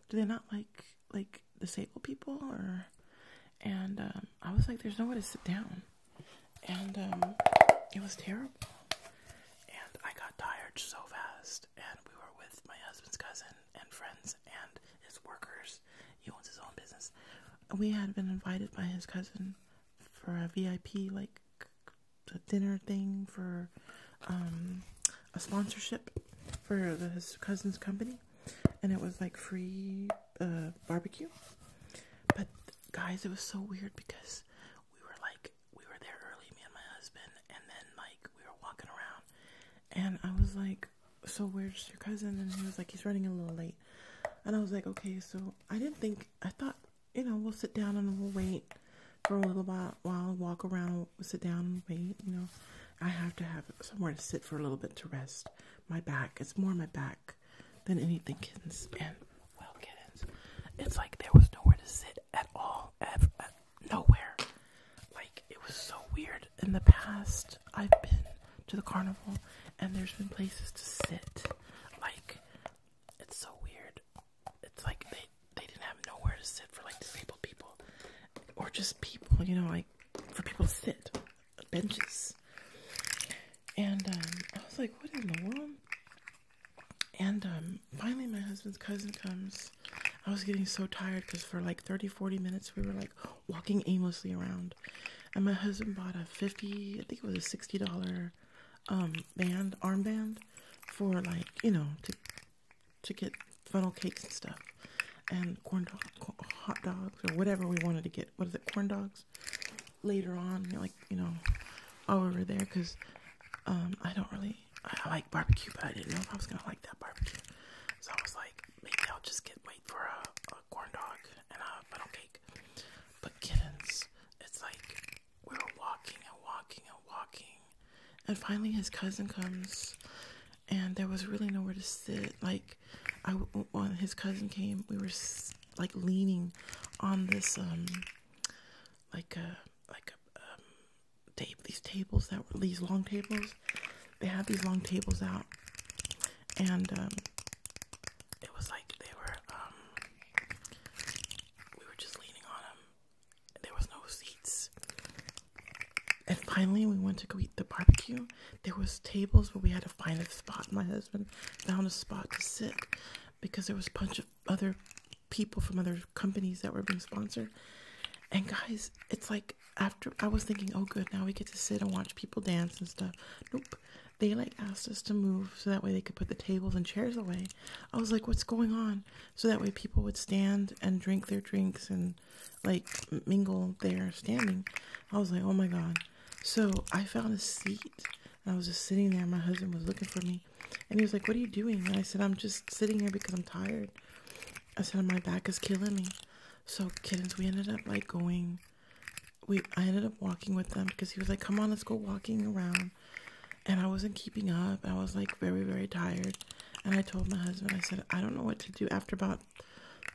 Speaker 1: Do they not like like disabled people or and um, I was like there's nowhere to sit down and um, it was terrible and I got tired so fast and we were with my husband's cousin and friends and his workers he owns his own business we had been invited by his cousin for a VIP like dinner thing for um, a sponsorship for his cousin's company and it was like free uh, barbecue. But guys, it was so weird because we were like we were there early, me and my husband, and then like we were walking around, and I was like, "So where's your cousin?" And he was like, "He's running a little late," and I was like, "Okay." So I didn't think I thought you know we'll sit down and we'll wait for a little while, while walk around, we'll sit down and wait, you know. I have to have somewhere to sit for a little bit to rest. My back, it's more my back than anything, kittens. well, kittens, it's like there was nowhere to sit at all, ever, nowhere. Like, it was so weird. In the past, I've been to the carnival and there's been places to sit. Like, it's so weird. It's like they, they didn't have nowhere to sit for, like, disabled people or just people, you know, like for people to sit, benches. And um, I was like, what in the world? And um, finally, my husband's cousin comes. I was getting so tired because for like 30, 40 minutes, we were like walking aimlessly around. And my husband bought a 50, I think it was a $60 um, band, armband for like, you know, to to get funnel cakes and stuff and corn hot dogs or whatever we wanted to get. What is it, corn dogs? Later on, like you know, all over there because um, I don't really I like barbecue, but I didn't know if I was gonna like that barbecue. So I was like, maybe I'll just get wait for a, corn dog and a funnel cake. But kittens, it's like we were walking and walking and walking, and finally his cousin comes and there was really nowhere to sit. Like, I when his cousin came, we were like leaning on this um, like a uh, like a um, table. These tables that were these long tables. They had these long tables out, and um, it was like they were um, we were just leaning on them. There was no seats, and finally we went to go eat the barbecue there was tables but we had to find a spot my husband found a spot to sit because there was a bunch of other people from other companies that were being sponsored and guys it's like after i was thinking oh good now we get to sit and watch people dance and stuff nope they like asked us to move so that way they could put the tables and chairs away i was like what's going on so that way people would stand and drink their drinks and like mingle there standing. I was like, oh my god. So I found a seat I was just sitting there. My husband was looking for me and he was like, what are you doing? And I said, I'm just sitting here because I'm tired. I said, my back is killing me. So kittens, we ended up like going, we, I ended up walking with them because he was like, come on, let's go walking around. And I wasn't keeping up. I was like very, very tired. And I told my husband, I said, I don't know what to do. After about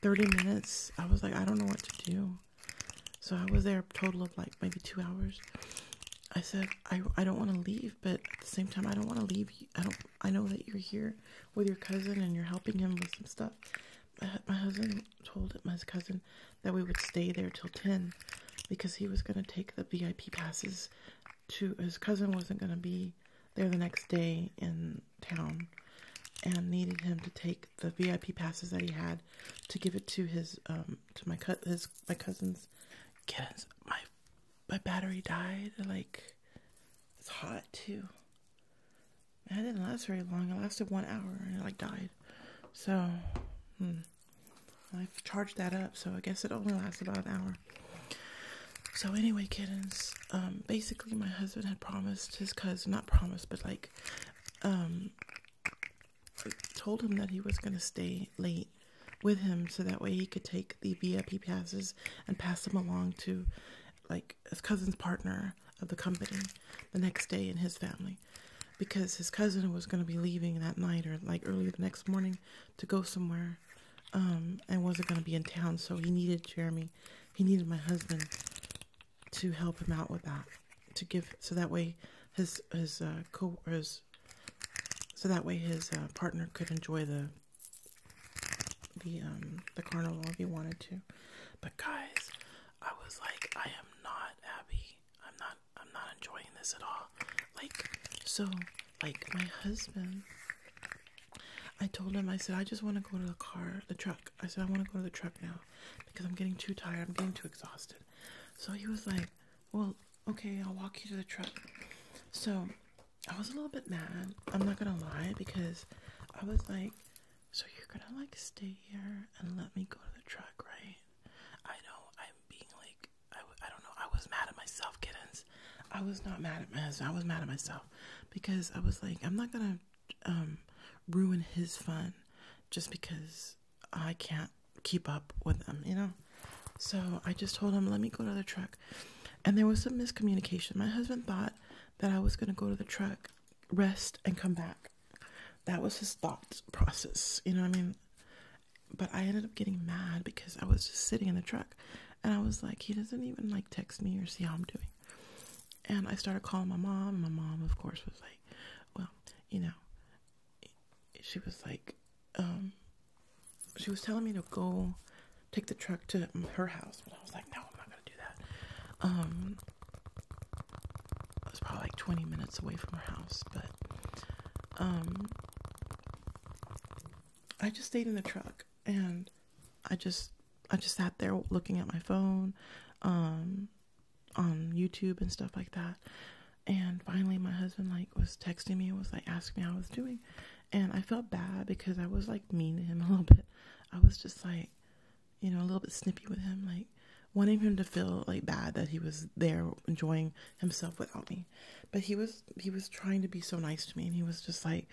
Speaker 1: 30 minutes. I was like, I don't know what to do. So I was there a total of like maybe two hours. I said, I, I don't want to leave, but at the same time, I don't want to leave. I don't, I know that you're here with your cousin and you're helping him with some stuff. My husband told my cousin that we would stay there till 10 because he was going to take the VIP passes to his cousin wasn't going to be there the next day and town and needed him to take the VIP passes that he had to give it to his um to my cut his my cousin's kids. My my battery died. Like it's hot too. And it didn't last very long. It lasted one hour and it like died. So hmm. I've charged that up, so I guess it only lasts about an hour. So anyway, kittens, um, basically my husband had promised his cousin, not promised, but like, um, told him that he was going to stay late with him so that way he could take the VIP passes and pass them along to like his cousin's partner of the company the next day in his family because his cousin was going to be leaving that night or like early the next morning to go somewhere um, and wasn't going to be in town so he needed Jeremy he needed my husband to help him out with that to give so that way his his uh, co his so that way his uh, partner could enjoy the the um the carnival if he wanted to. But guys, I was like, I am not happy. I'm not I'm not enjoying this at all. Like so like my husband I told him, I said, I just want to go to the car, the truck. I said, I want to go to the truck now because I'm getting too tired. I'm getting too exhausted. So he was like, Well, okay, I'll walk you to the truck. So I was a little bit mad. I'm not going to lie because I was like, So you're going to like stay here and let me go to the truck, right? I know I'm being like, I, I don't know. I was mad at myself, kittens. I was not mad at my husband. I was mad at myself because I was like, I'm not gonna um, ruin his fun just because I can't keep up with them, you know. So I just told him, let me go to the truck, and there was some miscommunication. My husband thought that I was gonna go to the truck, rest, and come back. That was his thought process, you know I mean? But I ended up getting mad because I was just sitting in the truck. And I was like, he doesn't even like text me or see how I'm doing. And I started calling my mom. My mom, of course, was like, well, you know, she was like, um, she was telling me to go take the truck to her house. But I was like, no, I'm not going to do that. Um, I was probably like 20 minutes away from her house, but, um, I just stayed in the truck and I just I just sat there looking at my phone, um, on YouTube and stuff like that. And finally, my husband like was texting me and was like asking me how I was doing, and I felt bad because I was like mean to him a little bit. I was just like, you know, a little bit snippy with him, like wanting him to feel like bad that he was there enjoying himself without me. But he was he was trying to be so nice to me, and he was just like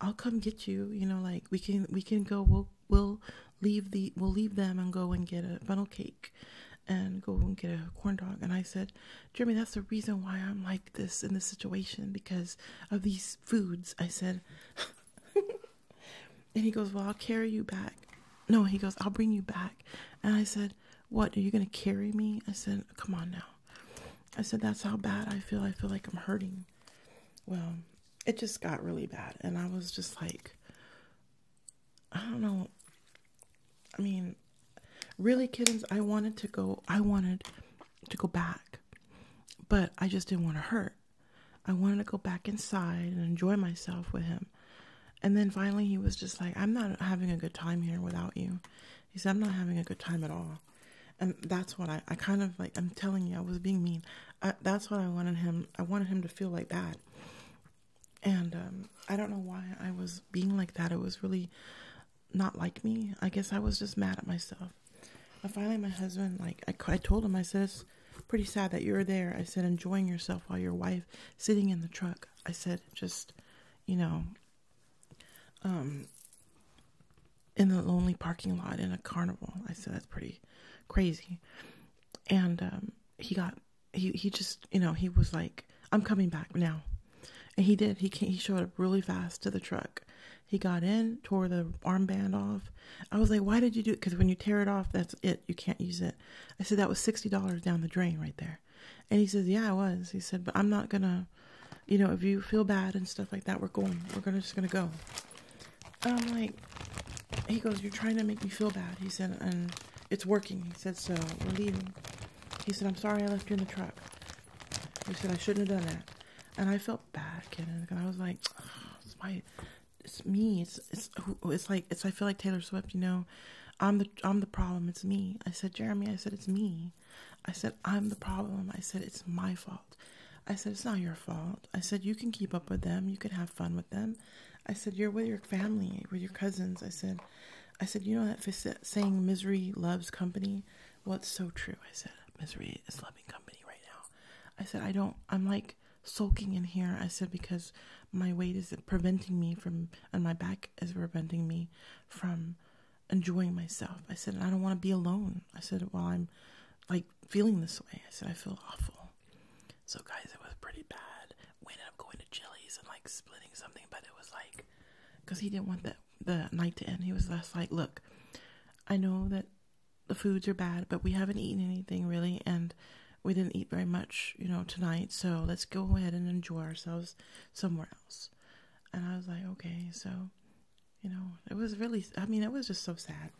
Speaker 1: i'll come get you you know like we can we can go we'll we'll leave the we'll leave them and go and get a funnel cake and go and get a corn dog and i said jeremy that's the reason why i'm like this in this situation because of these foods i said and he goes well i'll carry you back no he goes i'll bring you back and i said what are you going to carry me i said come on now i said that's how bad i feel i feel like i'm hurting well, it just got really bad. And I was just like, I don't know. I mean, really, kittens, I wanted to go, I wanted to go back, but I just didn't want to hurt. I wanted to go back inside and enjoy myself with him. And then finally, he was just like, I'm not having a good time here without you. He said, I'm not having a good time at all. And that's what I, I kind of like, I'm telling you, I was being mean. that's what I wanted him. I wanted him to feel like that. And um, I don't know why I was being like that. It was really not like me. I guess I was just mad at myself. And finally, my husband, like, I, I told him, I said, "It's pretty sad that you are there. I said, enjoying yourself while your wife sitting in the truck. I said, just, you know, um, in the lonely parking lot in a carnival. I said that's pretty crazy. And um, he got he he just you know he was like I'm coming back now, and he did. He he showed up really fast to the truck. He got in, tore the armband off. I was like, "Why did you do it?" Because when you tear it off, that's it. You can't use it. I said that was sixty dollars down the drain right there. And he says, "Yeah, I was." He said, "But I'm not gonna." you know, if you feel bad and stuff like that, we're going. We're gonna just gonna go. I'm like, he goes, you're trying to make me feel bad. He said, and it's working. He said, so we're leaving. He said, I'm sorry I left you in the truck. He said, I shouldn't have done that. And I felt bad, kid. And I was like, it's my, it's me. It's, it's, it's like, it's, I feel like Taylor Swift, you know, I'm the, I'm the problem. It's me. I said, Jeremy, I said, it's me me. I said, I'm the problem. I said, it's my fault. I said, it's not your fault. I said, you can keep up with them. You can have fun with them. I said, you're with your family, with your cousins. I said, I said, you know that saying misery loves company? Well, it's so true. I said, misery is loving company right now. I said, I don't, I'm like sulking in here. I said, because my weight is preventing me from, and my back is preventing me from enjoying myself. I said, I don't want to be alone. I said, while well, I'm like feeling this way, I said, I feel awful. So, guys, it was pretty bad. We ended up going to Chili's and like splitting something, but it was like, because he didn't want the, the night to end. He was just like, look, I know that the foods are bad, but we haven't eaten anything really, and we didn't eat very much, you know, tonight. So let's go ahead and enjoy ourselves somewhere else. And I was like, okay. So you know, it was really, I mean, it was just so sad.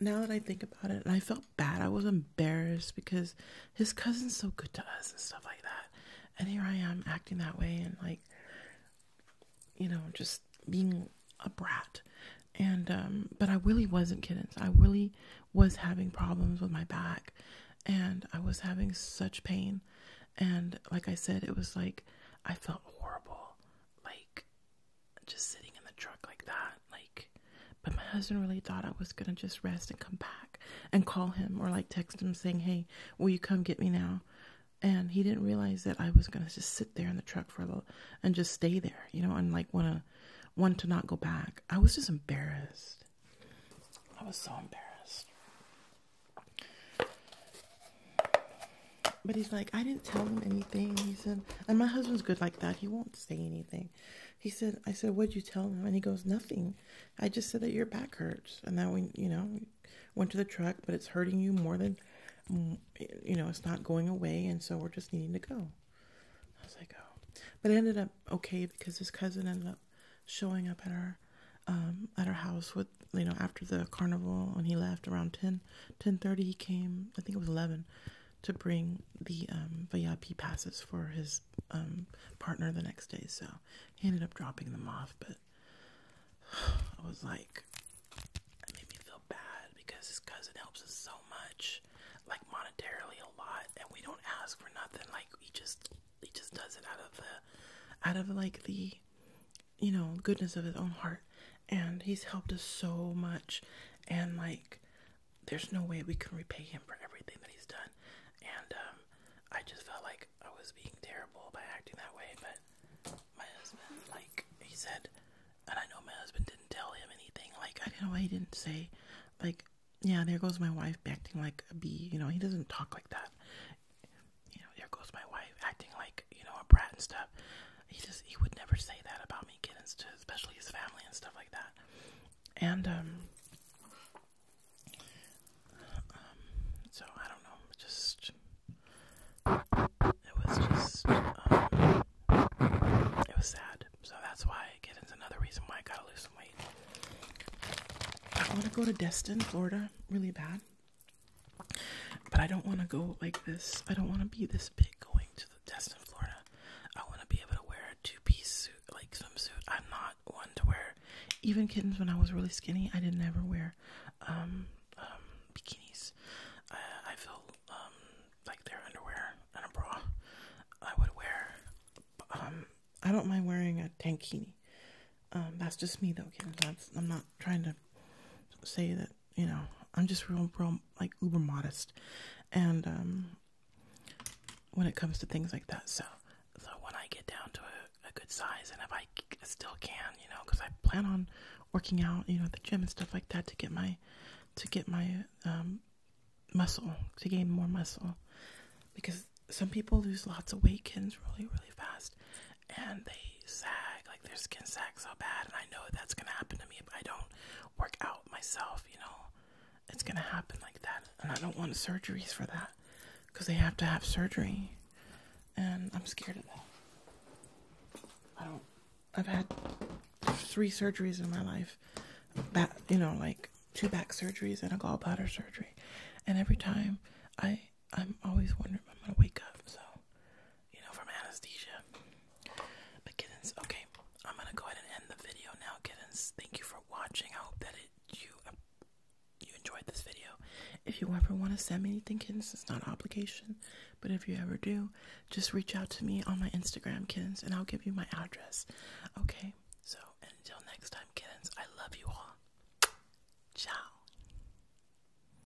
Speaker 1: Now that I think about it, and I felt bad. I was embarrassed because his cousin's so good to us and stuff like that. And here I am acting that way and, like, you know, just being a brat. And, um, but I really wasn't kidding. I really was having problems with my back and I was having such pain. And, like I said, it was like I felt horrible like just sitting in the truck like that like but my husband really thought I was going to just rest and come back and call him or like text him saying, "Hey, will you come get me now?" And he didn't realize that I was going to just sit there in the truck for a little and just stay there, you know, and like want to want to not go back. I was just embarrassed. I was so embarrassed. But he's like, I didn't tell him anything. He said, and my husband's good like that. He won't say anything. He said, I said, what'd you tell him? And he goes, nothing. I just said that your back hurts. And that we, you know, went to the truck, but it's hurting you more than, mm, you know, it's not going away. And so we're just needing to go. I was like, oh, but it ended up okay because his cousin ended up showing up at our, um, at our house with you know after the carnival when he left around 10 10:30 he came I think it was 11 to bring the um passes for his um, partner the next day so he ended up dropping them off but I was like it made me feel bad because his cousin helps us so much like monetarily a lot and we don't ask for nothing like he just he just does it out of the out of like the you know, goodness of his own heart. And he's helped us so much. And like, there's no way we can repay him for everything that he's done. And um, I just felt like I was being terrible by acting that way. But my husband, like, he said, and I know my husband didn't tell him anything. Like, I don't know why he didn't say, like, yeah, there goes my wife acting like a bee. You know, he doesn't talk like that you know, there goes my wife acting like, you know, a brat and stuff. He just, he would never say that about me kids, to especially his family and stuff like that. And, um, um, so I don't know, just, it was just, um, it was sad. So that's why, again, another reason why I gotta lose some weight. I want to go to Destin, Florida, really bad. But I don't want to go like this. I don't want to be this big going to the test in Florida. I want to be able to wear a two piece suit, like swimsuit. I'm not one to wear. Even kittens, when I was really skinny, I didn't ever wear um, um, bikinis. I feel um, like their underwear and a bra. I would wear. Um, I don't mind wearing a tankini. that's just me though, kittens. I'm not trying to say that you know, I'm just real, real like uber modest, and um, when it comes to things like that. So, so when I get down to a, good size, and if I still can, you know, because I plan on working out, you know, at the gym and stuff like that to get my to get my um, muscle to gain more muscle, because some people lose lots of weight gains really, really fast and they sag, like their skin sags so bad. And I know that's gonna happen to me if I don't work out myself, you know, it's gonna happen like that. And I don't want surgeries for that because they have to have surgery, and I'm scared of that. I don't, I've had three surgeries in my life, back, you know, like two back surgeries and a gallbladder surgery, and every time I I'm always wondering if I'm gonna wake up, so you know, from anesthesia. But kittens, okay, I'm gonna go ahead and end the video now, kittens. Thank you for watching. I hope that you um, you enjoyed this video. If you ever want to send me anything, kittens, it's not an obligation. But if you ever do, just reach out to me on my Instagram, kittens, and I'll give you my address. Okay, so until next time, kittens, I love you all. Ciao.